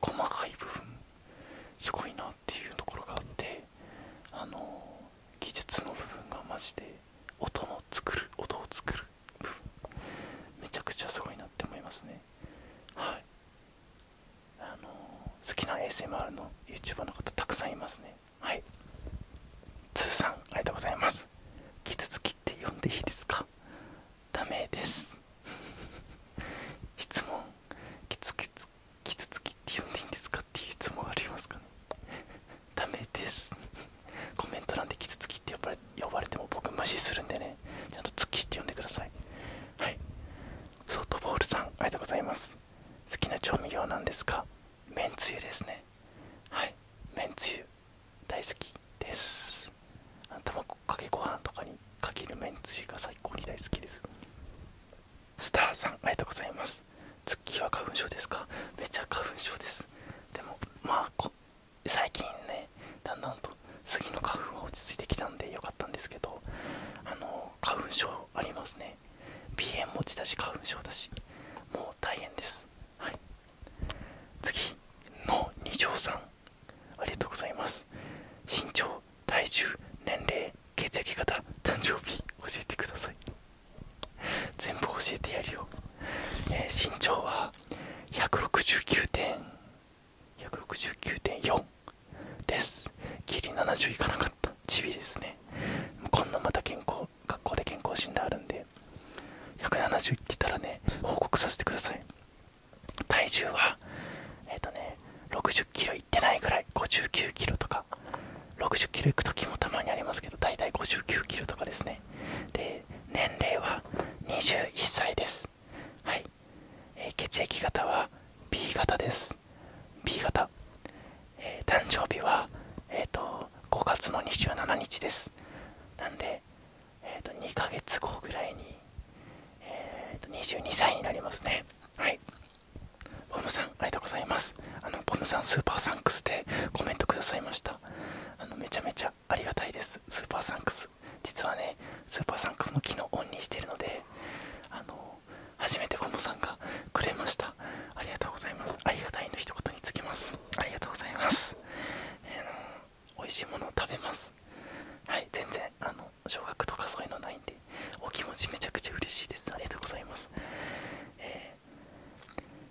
細かい部分すごいなっていうところがあってあの技術の部分がマジで音の作る音を作る部分めちゃくちゃすごいなって思いますねはいあの好きな ASMR の YouTuber の方たくさんいますねはい通さんありがとうございます傷つきって呼んでいいですかダメです 質問キツき傷つきって呼んでいいんですかっていう質問ありますかねダメですコメント欄で傷つきって呼ばれても僕無視するんでねちゃんと月って呼んでくださいはいソフトボールさんありがとうございます好きな調味料なんですかめんつゆですねはいめんつゆ大好きです卵かけご飯とかにかけるめんつゆが最高に大好きですスターさんありがとうございます月は花粉症ですかめちゃ花粉症ですでもまあこ最近ねだんだんと次の花粉は落ち着いてきたんでよかったんですけどあの花粉症ありますね鼻炎持ちだし花粉症だしもう大変ですはい次の二条さんありがとうございます身長体重年齢血液型誕生日教えてください全部教えてやるよ、えー、身長は169.5 169.4ですギリ70いかなかったチビですねこんなまた健康学校で健康診断あるんで170いってたらね報告させてください体重はえっ、とね60キロいってないぐらい59キロとか60キロいく時もたまにありますけどだいたい59キロとかですねで年齢は21歳です。はい血液型は B 型です。B 型、誕生日は、え5月の27日です。なんで、え2ヶ月後ぐらいに、えー、と22歳になりますね。はいポムさん、ありがとうございます。ボムさん、スーパーサンクスでコメントくださいました。めちゃめちゃありがたいです。スーパーサンクス。実はねスーパーサンクスの機能オンにしてるのであの初めてボムさんがくれましたありがとうございますありがたいの一言につきますありがとうございます、えー、美味しいものを食べますはい全然あの小学とかそういうのないんでお気持ちめちゃくちゃ嬉しいですありがとうございます、え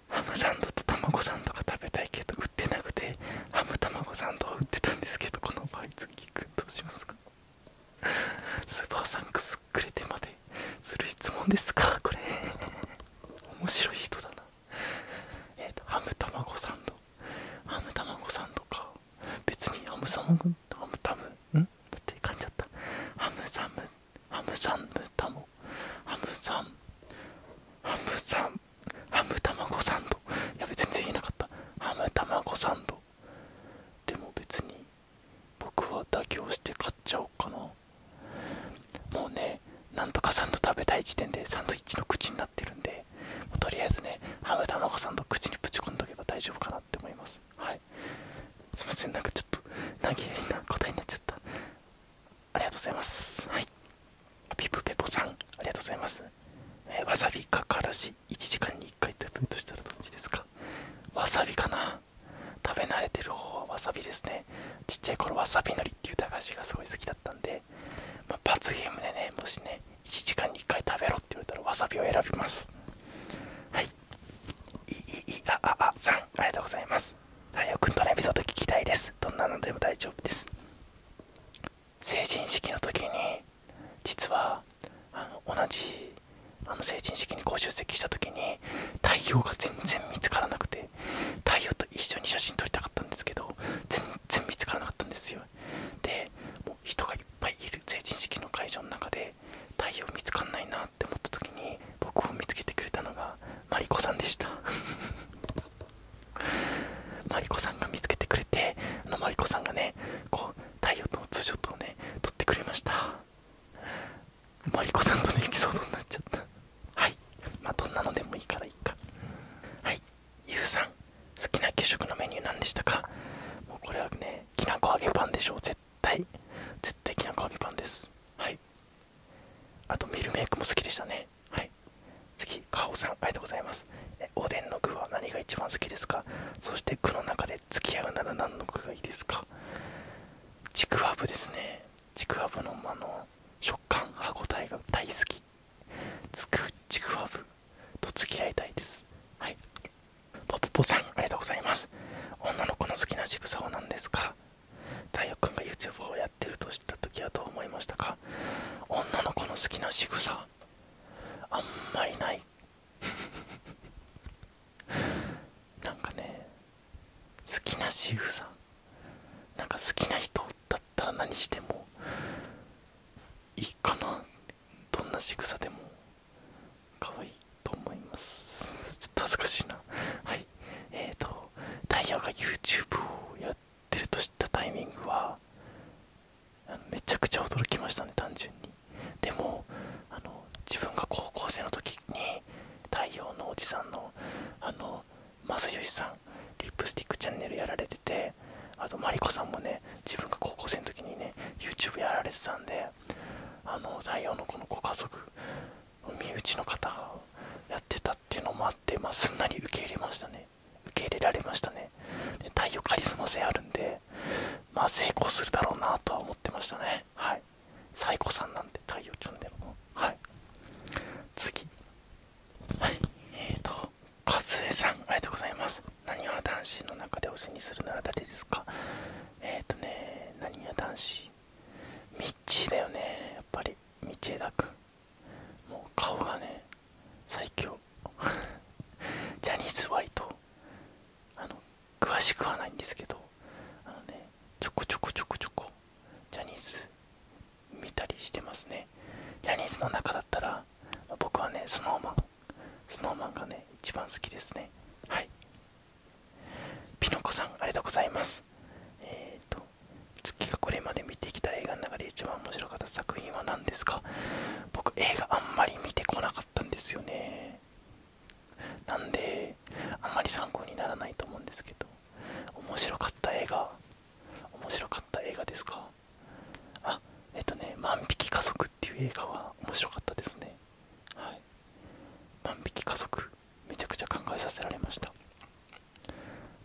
ハムサンドと卵サンドが食べたいけど売ってなくてハム卵サンドを売ってたんですけどこの場合次どうしますかスーパーサンクスくれてまでする質問ですかこれ面白い人だなえっ、ー、とハム卵サンドハムたまごサンドか別にハムサムハムタムんって感じだったハムサムハムサムタモハムサムハムサムハムたまごサンドいやべ全然言えなかったハムたまごサンドでも別に僕は妥協して買っちゃおうかなもうねなんとかサンド食べたい時点でサンドイッチの口になってるんでとりあえずねハムたまごサンド口にぶち込んどけば大丈夫かなって思いますはいすいませんなんかちょっと何気やいな答えになっちゃったありがとうございますはいピプペポさんありがとうございますえわさびかからし1時間に1回食べるとしたらどっちですかわさびかな食べ慣れてる方はわさびですねちっちゃい頃わさびのりっていう駄菓子がすごい好きだったんで、ま罰ゲームでねもしね1時間に1回食べろって言われたらわさびを選びますはいいいい。あああああさんありがとうございます太くんとのエピソード聞きたいですどんなのでも大丈夫です成人式の時に実はあの同じあの成人式にご出席した時に太陽が全然見つからなくて太陽と一緒に写真撮りたかったんですけど全然見つからなかったんですよでも人がいっぱいいる成人式の会場の中で太陽見つかんないなって思った時に僕を見つけてくれたのがマリコさんでした マリコさんが見つけてくれてあのマリコさんがねこう太陽とのツーショットをね撮ってくれましたマリコさんとのエピソードになっちゃったはいまあどんなのでもいいからいいかはいゆうさん好きな給食のメニュー何でしたかもうこれはねきなこ揚げパンでしょう絶対絶対きなこ揚げパンですはいあとミルメイクも好きでしたねはい次き、カさん、ありがとうございます。おでんの具は何が一番好きですかそして、具の中で付き合うなら何の具がいいですかちくわぶですね。ちくわぶのあの食感、歯ごたえが大好き。つくちくわぶと付き合いたいです。はい。ポポポさん、ありがとうございます。女の子の好きな仕草は何ですか太陽君が YouTube をやってると知った時はどう思いましたか女の子の好きな仕草あんまりないなんかね好きな仕草。さなんか好きな人だったら何してもいいかなどんな仕草でも可愛いと思いますちょっと恥ずかしいなはいえーとダイヤが YouTube をやってると知ったタイミングはめちゃくちゃ驚きましたね単純にでもあの自分が高校生の時に太陽のおじさんのあの正義さんリップスティックチャンネルやられててあとマリコさんもね自分が高校生の時にね YouTube やられてたんであの太陽のこのご家族身内の方がやってたっていうのもあって、まあ、すんなり受け入れましたね受け入れられましたねで太陽カリスマ性あるんでま成功するだろうなとは思ってましたねはいサイコさんなんで太陽ちゃんでもはい次はいえーと和江さんありがとうございます何は男子の中で推しにするなら誰ですかえっ、ー、とね何は男子ミッチーだよねやっぱり道枝君もう顔がね最強 ジャニーズ割と詳しくはないんですけどあのねちょこちょこちょこちょこジャニーズ見たりしてますねジャニーズの中だったら僕はね SnowMan SnowMan がね一番好きですねはいピノコさんありがとうございますえっ、と月がこれまで見てきた映画の中で一番面白かった作品は何ですか僕映画あんまり見てこなかったんですよねなんであんまり参考にならないと思うんですけど面白かった映画面白かった映画ですかあえっとね「万引き家族」っていう映画は面白かったですねはい万引き家族めちゃくちゃ考えさせられました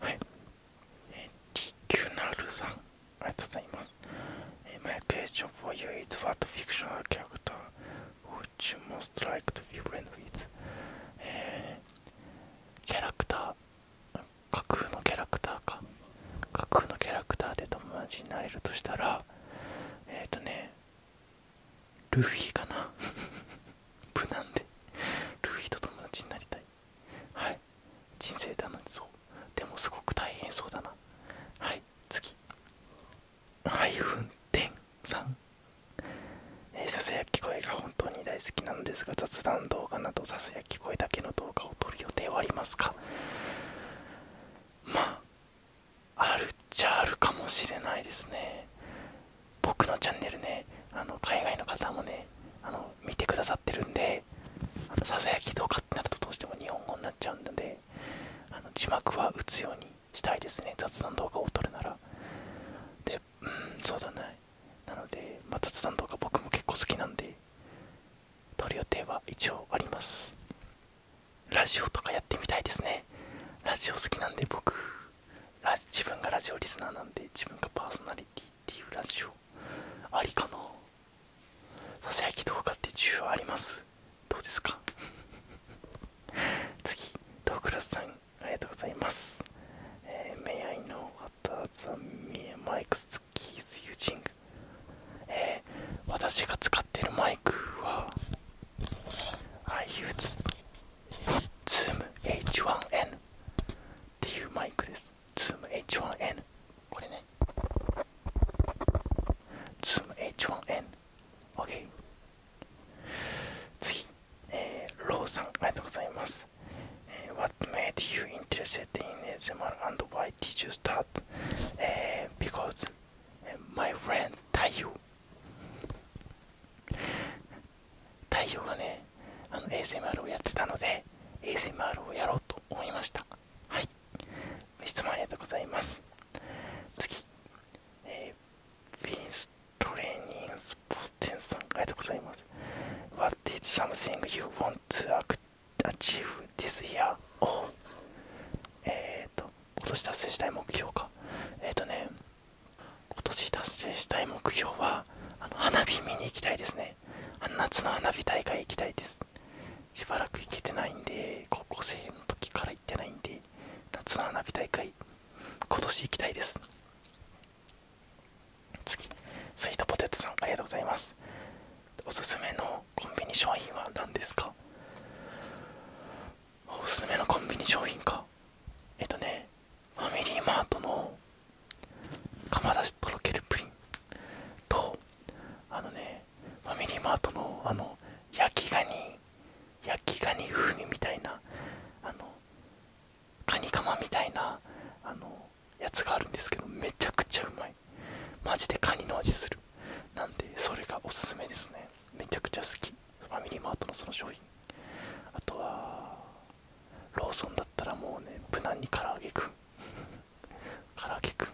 はいえデキュナルさんありがとうございます。My question for you is what fictional character would you most like to be friends with? キャラクター、架空のキャラクターか。架空のキャラクターで友達になれるとしたら、えっ、ー、とね、ルフィかな。無難で。ルフィと友達になりたい。はい。人生楽しそうでもすごく大変そうだなはい次ハイフン点3えささやき声が本当に大好きなのですが雑談動画などささやき声だけの動画を撮る予定はありますかまああるっちゃあるかもしれないですね僕のチャンネルねあの海外の方もねあの見てくださってるんでささやき動画ってなるとどうしても日本語になっちゃうのであの字幕は打つようにしたいですね雑談動画を撮るならでうんそうだねなので、ま雑談動画僕も結構好きなんで撮る予定は一応ありますラジオとかやってみたいですねラジオ好きなんで僕ラ自分がラジオリスナーなんで自分がパーソナリティっていうラジオありかなささやき動画って需要ありますどうですか 次トークラスさんありがとうございます、えー、May I know what the mics keys u s i 私が使ってるマイクは I use Zoom H1N っていうマイクです Zoom H1N これね Zoom H1N。OK。次、えー、ローさん、ありがとうございます。えー、What made you interested in ASMR and why did you start?、えー、because my friend 太陽。太陽がね、あの ASMR をやってたので、ASMR をやろうと思いましたはい質問ありがとうございます次、えー、ビーンストレーニングスポーツ店さんありがとうございます What is something you want to achieve this year? えっ、と今年達成したい目標かえっ、とね今年達成したい目標はあの花火見に行きたいですねあの夏の花火大会行きたいですしばらく行けてないんで高校生の時から行ってないんで夏の花火大会今年行きたいです次スイートポテトさんありがとうございますおすすめのコンビニ商品は何ですかおすすめのコンビニ商品かえっとねファミリーマートの釜出しとろけるプリンとあのねファミリーマートのあの焼きガニ焼きガニ風味みたいなあのカニカマみたいなあのやつがあるんですけどめちゃくちゃうまいマジでカニの味するなんでそれがおすすめですねめちゃくちゃ好きファミリーマートのその商品あとはローソンだったらもうね無難に唐揚げくんカラ揚ケくん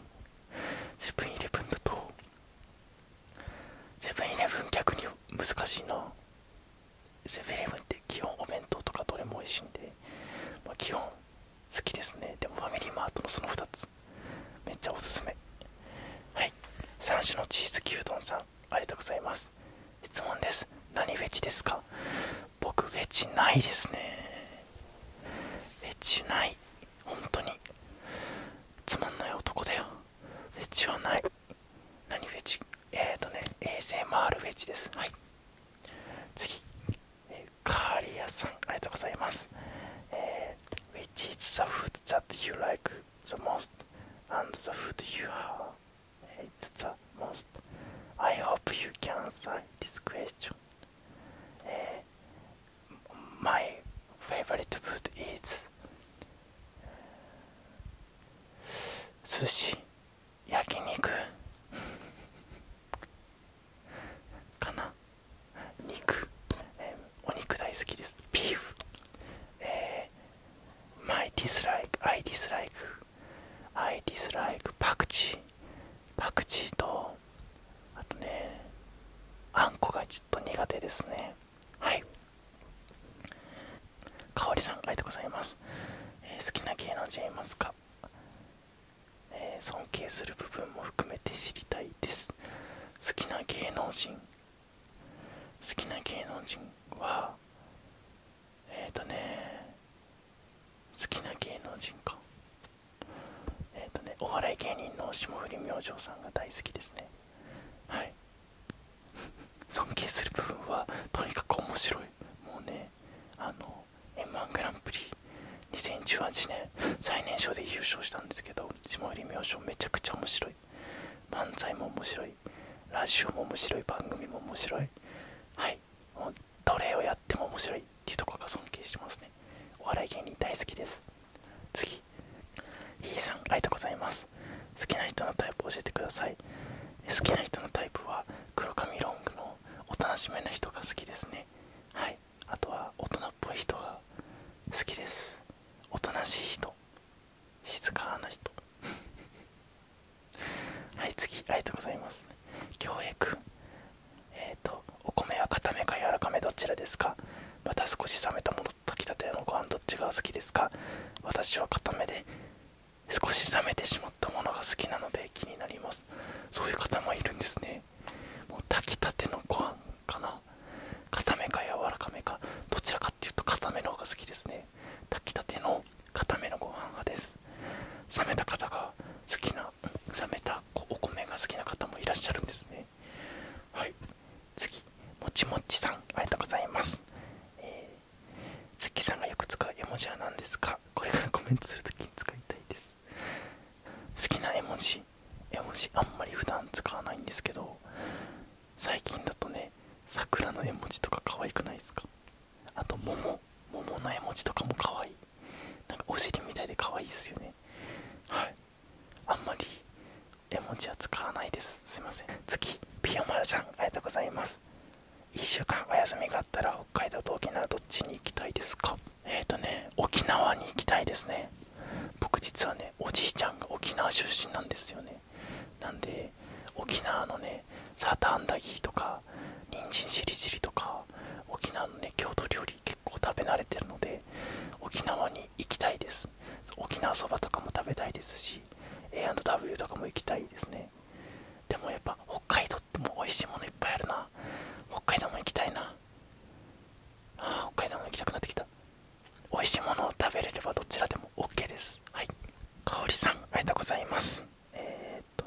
セブンイレブンだとセブンイレブン逆に難しいなセブンイレブンって基本お弁当とかどれも美味しいんで、ま基本好きですねでもファミリーマートのその2つめっちゃおすすめはい3種のチーズ牛丼さんありがとうございます質問です何フェチですか僕フェチないですねフェチない本当につまんない男だよフェチはない何フェチえっ、ー、とね ASMR フェチですはい次、えー、カーリアさんありがとうございます、えー、Which is the food that you like the most and the food you hate the most I hope you can answer this question えー、My favorite food is 寿司焼肉かな肉、えー、お肉大好きですビーフ、えー、My dislike I dislike I dislike パクチーパクチーとあとねあんこがちょっと苦手ですねはいかおりさんありがとうございます、え好きな芸能人いますか、え尊敬する部分も含めて知りたいです好きな芸能人好きな芸能人はえっ、とね好きな芸能人かえっ、とね、お笑い芸人の霜降り明星さんが大好きですね。はい。尊敬する部分は、とにかく面白い。もうね、あの、M1 グランプリ2018年、最年少で優勝したんですけど、霜降り明星めちゃくちゃ面白い。漫才も面白い。ラジオも面白い。番組も面白い。はい。もうどれをやっても面白い。っていうとこが尊敬してますねお笑い芸人大好きです次ひーさんありがとうございます好きな人のタイプ教えてください好きな人のタイプは黒髪ロングのおとなしめな人が好きですねはいあとは大人っぽい人が好きですおとなしい人静かな人 はい次ありがとうございます恭平えっ、とお米は固めか柔らかめどちらですかまた少し冷めたものと炊きたてのご飯どっちが好きですか私は固めで少し冷めてしまったものが好きなので気になりますそういう方もいるんですねもう炊きたてのご飯かな固めか柔らかめかどちらかっていうと固めの方が好きですね炊きたての固めのご飯派です冷めた方が好きな冷めたお米が好きな方もいらっしゃるんですねはい次もちもちさんありがとうございます、え月さんがよく使う絵文字は何ですか これからコメントするときに使いたいです好きな絵文字絵文字あんまり普段使わないんですけど最近だとね桜の絵文字とか可愛くないですかあと桃桃の絵文字とかも可愛いなんかお尻みたいで可愛いですよねはいあんまり絵文字は使わないですすいません次ピオマルさんありがとうございます1週間お休みがあったら北海道と沖縄どっちに行きたいですかえっ、とね沖縄に行きたいですね僕実はねおじいちゃんが沖縄出身なんですよねなんで沖縄のねサーターアンダギーとか人参しりしりとか沖縄のね郷土料理結構食べ慣れてるので沖縄に行きたいです沖縄そばとかも食べたいですし A&W とかも行きたいですねでもやっぱ北海道ってもう美味しいものいっぱいあるな北海道も行きたいなあ北海道も行きたくなってきた美味しいものを食べれればどちらでも OK ですはいかおりさんありがとうございますえっと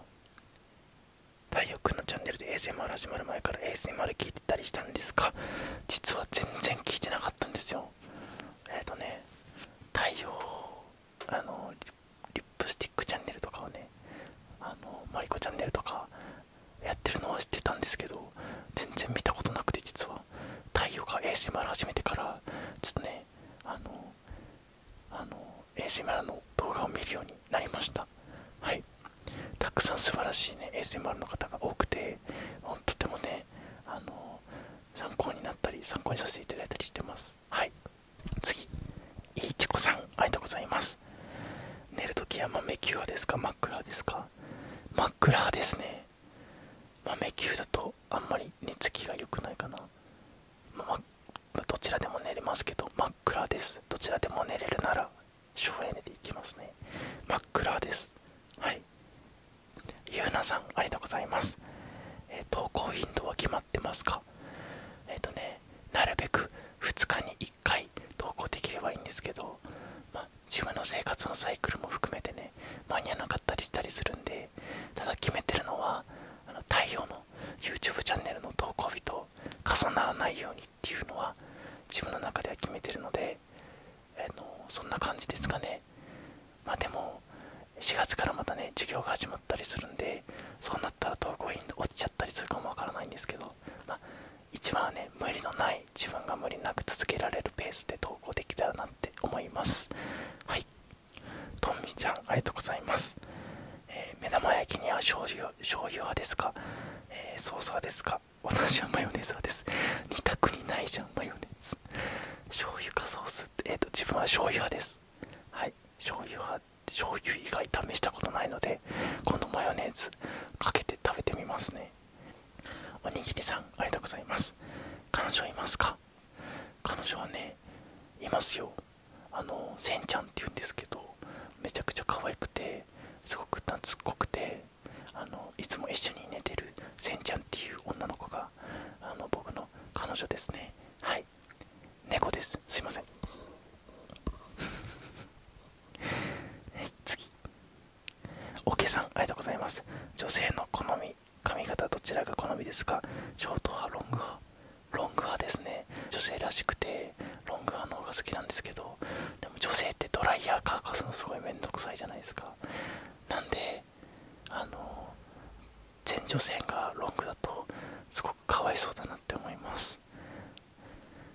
よのチャンネルで ASMR 始まる前から ASMR 聞いてたりしたんですが実は全然聞いてなかったんですよえっ、とね太陽あのリップスティックチャンネルとかをねあのマリコチャンネルとかやってるのは知ってたんですけど全然見たことなくて実は太陽が ASMR 始めてからちょっとねあのあの ASMR の動画を見るようになりましたはいたくさん素晴らしいね ASMR の方が多くてとてもねあの参考になったり参考にさせていただいたりしてますはい次いちこさんありがとうございます寝るときは豆球派ですか真っ暗ですか真っ暗ですね豆球だとあんまり寝つきが良くないかな、まあ、どちらでも寝れますけど真っ暗ですどちらでも寝れるなら省エネでいきますね。真っ暗です。はい。ゆうなさん、ありがとうございます。えー、投稿頻度は決まってますかえっ、ー、とね、なるべく2日に1回投稿できればいいんですけど、まあ、自分の生活のサイクルも含めてね、間に合わなかったりしたりするんで、ただ決めてるのは、あの太陽の YouTube チャンネルの投稿日と重ならないようにっっていうのは自分の中では決めてるので、えのそんな感じですかねまあでも4月からまたね授業が始まったりするんでそうなったら投稿頻落ちちゃったりするかもわからないんですけど、まあ、一番はね無理のない自分が無理なく続けられるペースで投稿できたらなって思いますはいとんみちゃんありがとうございます、え目玉焼きには醤油醤油派ですか、えソース派ですか私はマヨネーズ派です2択にないじゃんマヨネーズ醤油かソースってえっ、と自分は醤油派ですはい醤油派醤油以外試したことないのでこのマヨネーズかけて食べてみますねおにぎりさんありがとうございます彼女いますか彼女はねいますよあのせんちゃんって言うんですけどめちゃくちゃ可愛くてすごく懐っこくてあのいつも一緒に寝てるせんちゃんっていう女の子があの僕の彼女ですねはい猫ですすいません はい次おけさんありがとうございます女性の好み髪型どちらが好みですかショート派ロング派ロング派ですね女性らしくてロング派の方が好きなんですけどでも女性ってドライヤー乾かすのすごい面倒くさいじゃないですかなんであの全女性がロングだとすごくかわいそうだなって思います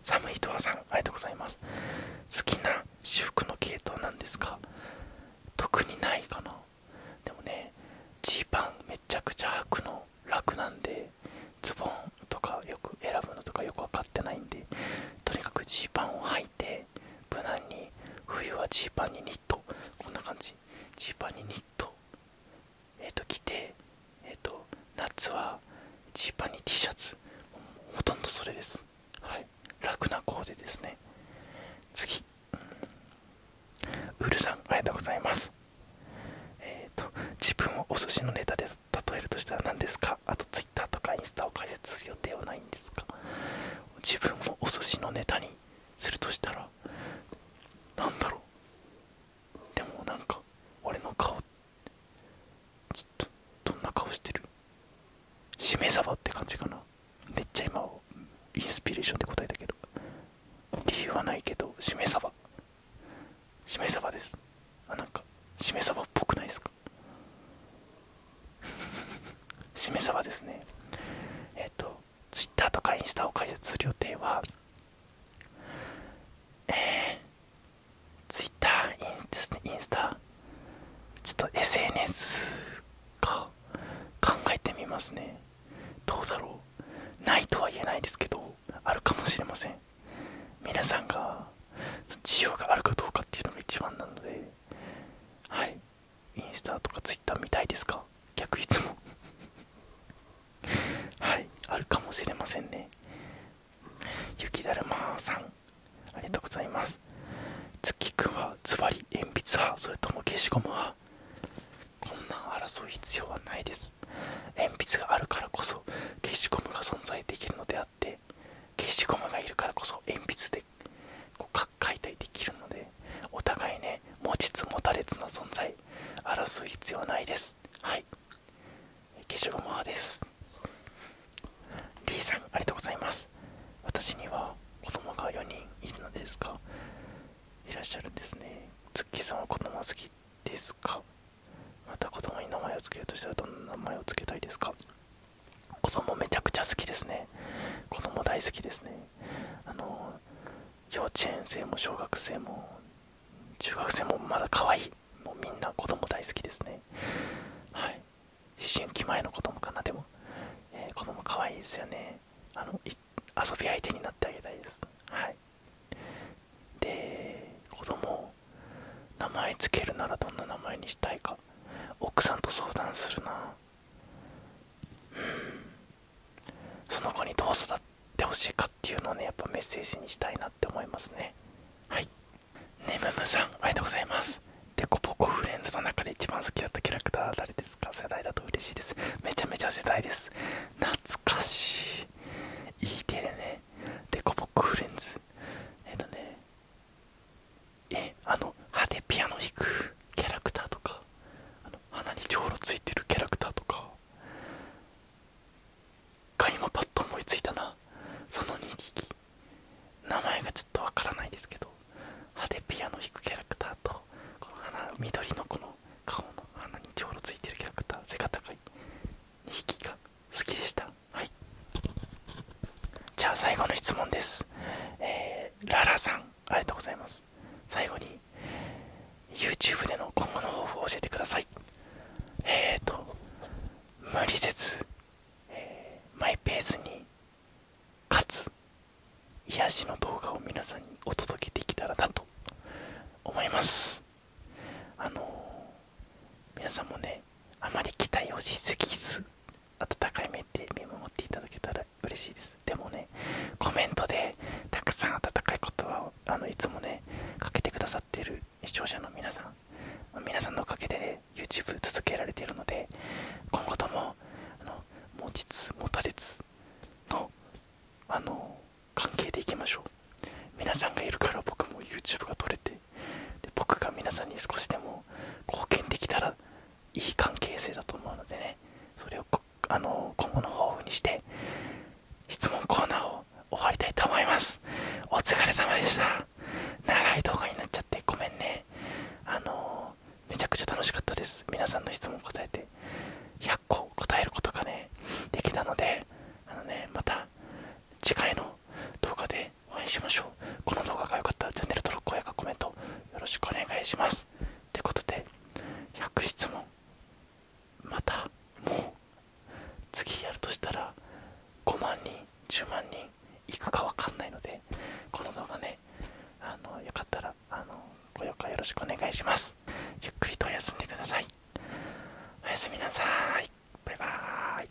寒いとはさんありがとうございます好きな私服の系統なんですか特にないかなでもねジーパンめちゃくちゃ履くの楽なんでズボンとかよく選ぶのとかよく分かってないんでとにかくジーパンを履いて無難に冬はジーパンにニットこんな感じジーパンにニットえっ、と着てえっ、と夏はジーパンに T シャツほとんどそれですはい楽なコーデですね次ウルさんありがとうございますえっ、と自分をお寿司のネタで例えるとしたら何ですかあと Twitter とかインスタを開設する予定はないんですか自分をお寿司のネタにするとしたら何だろうでもなんか俺の顔ちっとどんな顔してるしめ鯖って感じかなめっちゃ今インスピレーションで答えたけど理由はないけどしめ鯖しめ鯖ですあなんかしめ鯖っぽくないですか 示さはですねえっ、と Twitter とかインスタを開設する予定はえー、Twitter インインスタちょっと SNS か考えてみますねどうだろうないとは言えないですけどあるかもしれません皆さんが需要があるかどうかっていうのが一番なのではいインスタとかツイッター見たいですか逆いつも。はいあるかもしれませんね雪だるまさんありがとうございます月くはズバリ鉛筆派それとも消しゴム派こんな争う必要はないです鉛筆があるからこそ消しゴムが存在できるのであって消しゴムがいるからこそ鉛筆でこう解体できるのでお互いね持ちつ持たれつの存在争う必要ないですはい消しゴム派ですリーさんありがとうございます私には子供が4人いるのですか？いらっしゃるんですねツッキーさんは子供好きですかまた子供に名前を付けるとしたらどんな名前を付けたいですか子供めちゃくちゃ好きですね子供大好きですねあの幼稚園生も小学生も中学生もまだ可愛いもうみんな子供大好きですねはい思春期前の子供かなでも、えー、子供可愛いですよねあの遊び相手になってあげたいですはいで子供名前つけるならどんな名前にしたいか奥さんと相談するなうんその子にどう育ってほしいかっていうのをねやっぱメッセージにしたいなって思いますねはいねむむさんありがとうございますでこぼこフレンズの中で一番好きだったキャラクター誰ですか世代だと嬉しいですめちゃめちゃ世代です懐かしいいいテレねでこぼこフレンズえっ、とねえあの歯でピアノ弾くキャラクターとかあの鼻にじょうろついてるキャラクターとかが今パッと思いついたなその2匹名前がちょっとわからないですけど歯でピアノ弾くキャラクターとこの鼻緑のこの顔の鼻にじょうろついてるキャラクター背が高い2匹が好きでしたはいじゃあ最後の質問です、えー、ララさんありがとうございます最後に YouTube での今後の方法を教えてくださいえーと無理せず、マイペースにかつ癒しの動画を皆さんにお届けできたらなと思いますあの皆さんもねあまり期待をしすぎず温かい目で見守っていただけたら嬉しいですでもねコメントでたくさん温かい言葉をあのいつもねかけてくださっている視聴者の皆さん皆さんのおかげで、YouTube 続けられているので今後ともあの持ちつ持たれつのあの関係でいきましょう皆さんがいるから僕も YouTube が撮れてで僕が皆さんに少しでも貢献できたらいい関係性だと思うのでねそれをあの今後の抱負にして質問コーナーを終わりたいと思いますお疲れ様でした長い動画になっちゃってごめんねあのめちゃくちゃ楽しかったです皆さんの質問答えて100個答えることがねできたのであのねまた次回の動画でで応援しましょうこの動画が良かったらチャンネル登録、高評価、コメントよろしくお願いしますということで100質問またもう次やるとしたら5万人10万人いくかわかんないのでこの動画ねあのよかったらあのご評価よろしくお願いしますゆっくりと休んでくださいおやすみなさいバイバーイ